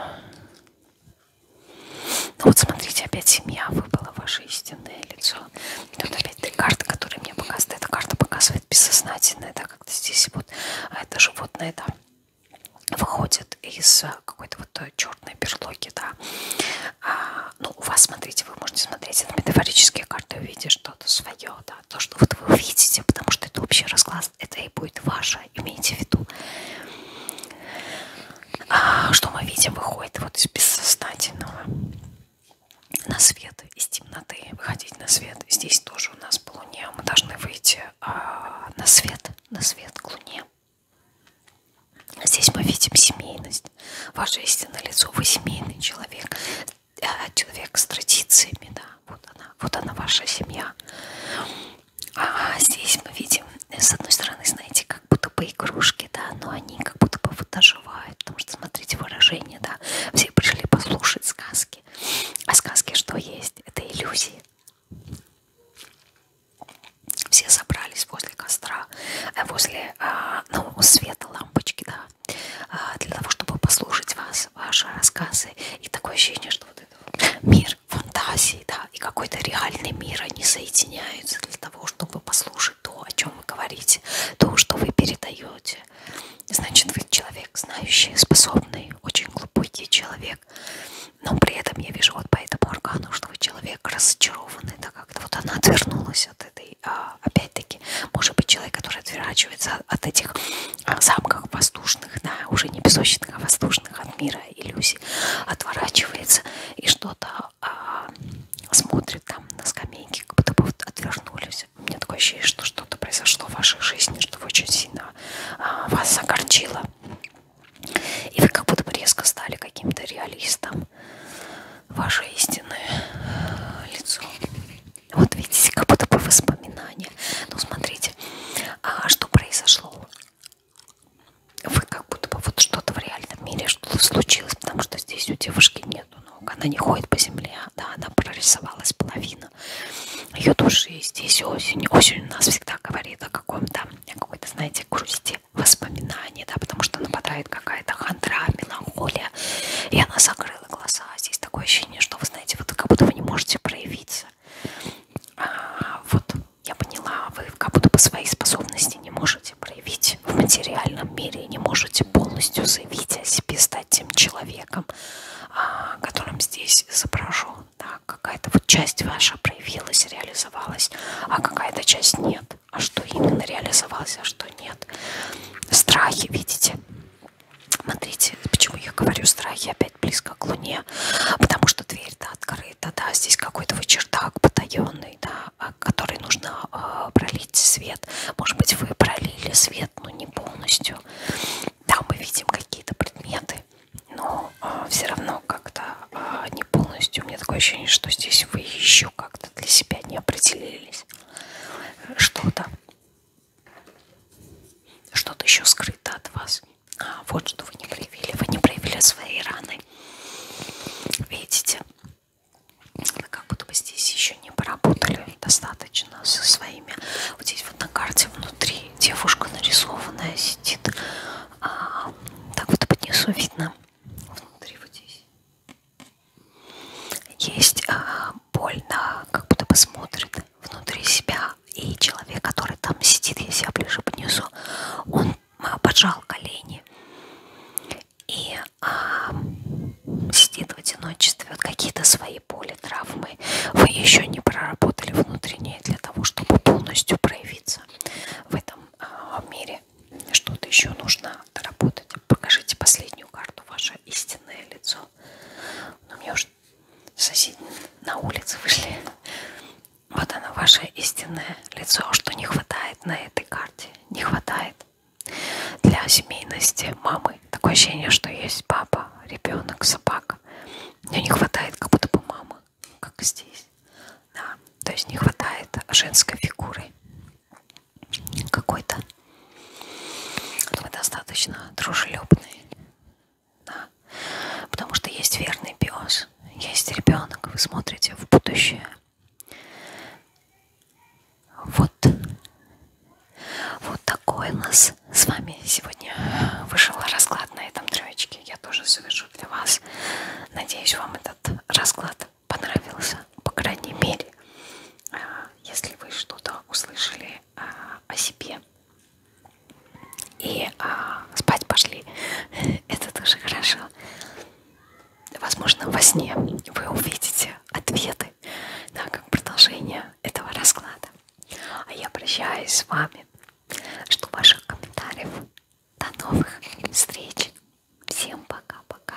Ну вот смотрите, опять семья выпала, ваше истинное лицо. И тут опять три карты, которые мне показывают. Эта карта показывает бессознательное, да, как-то здесь вот а это животное, да, выходит из э, какой-то вот э, черной берлоги, да. А, ну, у вас, смотрите, вы можете смотреть на метафорические карты, увидеть, что что-то свое, да, то, что вот вы увидите, потому что это общий расклад, это и будет ваше, имейте в виду. А, что мы видим, выходит вот из бессознательного на свет, из темноты, выходить на свет. Здесь тоже у нас по луне мы должны выйти а, на свет, на свет к луне. Здесь мы видим семейность. Ваше истинное лицо, вы семейный человек. Э, человек с традициями, да, вот она, вот она ваша семья. А здесь мы видим, с одной стороны, знаете, как будто бы игрушки, да, но они как будто бы вот доживают, потому что, смотрите, выражение, да, все пришли послушать сказки. А сказки что есть? Это иллюзии. Все собрались возле костра, э, возле, а, ну, света лампочки, да, а, для того, чтобы послушать вас, ваши рассказы. И такое ощущение, что вот это мир фантазии, да, и какой-то реальный мир, они соединяются для того, чтобы послушать то, о чем вы говорите, то, что вы передаете. Значит, вы человек знающий, способный, очень глубокий человек. Но при этом я вижу вот по этому органу, что вы человек разочарованный, так как-то вот она отвернулась отвернувшись от этой, а, опять-таки, может быть, человек, который отворачивается от этих замков а, воздушных, да, уже не песочных, а воздушных от мира иллюзий, отворачивается и что-то а, смотрит там на скамейке, как будто бы отвернулись. У меня такое ощущение, что что-то произошло в вашей жизни, что вы очень сильно а, вас огорчило. И вы как будто бы резко стали каким-то реалистом ваше истинное э, лицо. Вот видите, как будто бы воспоминания. Ну, смотрите, а что произошло? Вы как будто бы вот что-то в реальном мире что-то случилось, потому что здесь у девушки нету ног. Она не ходит по земле, а, да, она прорисовалась половина ее души. Здесь осень. Осень у нас всегда говорит о каком-то, какой-то, знаете, грусти воспоминаний, да, потому что нападает какая-то хандра, меланхолия и она закрыла глаза. Здесь такое ощущение, что вы знаете, вот как будто вы не можете проявиться. А, вот я поняла, вы как будто по своей способности не можете проявить в материальном мире, не можете полностью заявить о себе, стать тем человеком, а, которым здесь изображен. Да, какая-то вот часть ваша проявилась, реализовалась, а какая-то часть нет а что именно реализовалось, а что нет. Страхи, видите? Смотрите, почему я говорю страхи опять близко к Луне, потому что дверь-то открыта, да, здесь какой-то вот чердак потаенный, да, а, который нужно э, пролить свет. Может быть, вы пролили свет, но не полностью. Да, мы видим какие-то предметы, но э, а, все равно как-то э, не полностью. У меня такое ощущение, что здесь вы еще как-то для себя не определились что-то. Что-то еще скрыто от вас. А, вот что вы не проявили. Вы не проявили свои раны. Видите? Вы как будто бы здесь еще не поработали достаточно со своими. Вот здесь вот на карте внутри девушка нарисованная сидит. А, так вот под низу видно. Внутри вот здесь. Есть а, больно, как будто бы смотрит внутри себя. И человек, который там сидит, если я ближе поднесу, он а, поджал колени и а, сидит в одиночестве. Вот какие-то свои боли, травмы вы еще не проработали внутренние для того, чтобы полностью проявиться в этом а, мире. Что-то еще нужно доработать. Покажите последнюю карту, ваше истинное лицо. Но ну, мне уже соседи на улице вышли. Вот оно, ваше истинное лицо, что не хватает на этой карте. Не хватает для семейности мамы. Такое ощущение, что есть папа, ребенок, собака. Мне не хватает как будто бы мамы, как здесь. Да, то есть не хватает женской фигуры какой-то мы достаточно дружелюбный, да. потому что есть верный пес, есть ребенок, вы смотрите в будущее. Вот, вот такой у нас с вами сегодня вышел расклад на этом троечке. Я тоже совершу для вас. Надеюсь, вам этот расклад понравился, по крайней мере, а, если вы что-то услышали а, о себе и а, спать пошли, это тоже хорошо. Возможно, во сне вы увидите ответы да, как продолжение этого расклада. А я прощаюсь с вами. Жду ваших комментариев. До новых встреч. Всем пока-пока.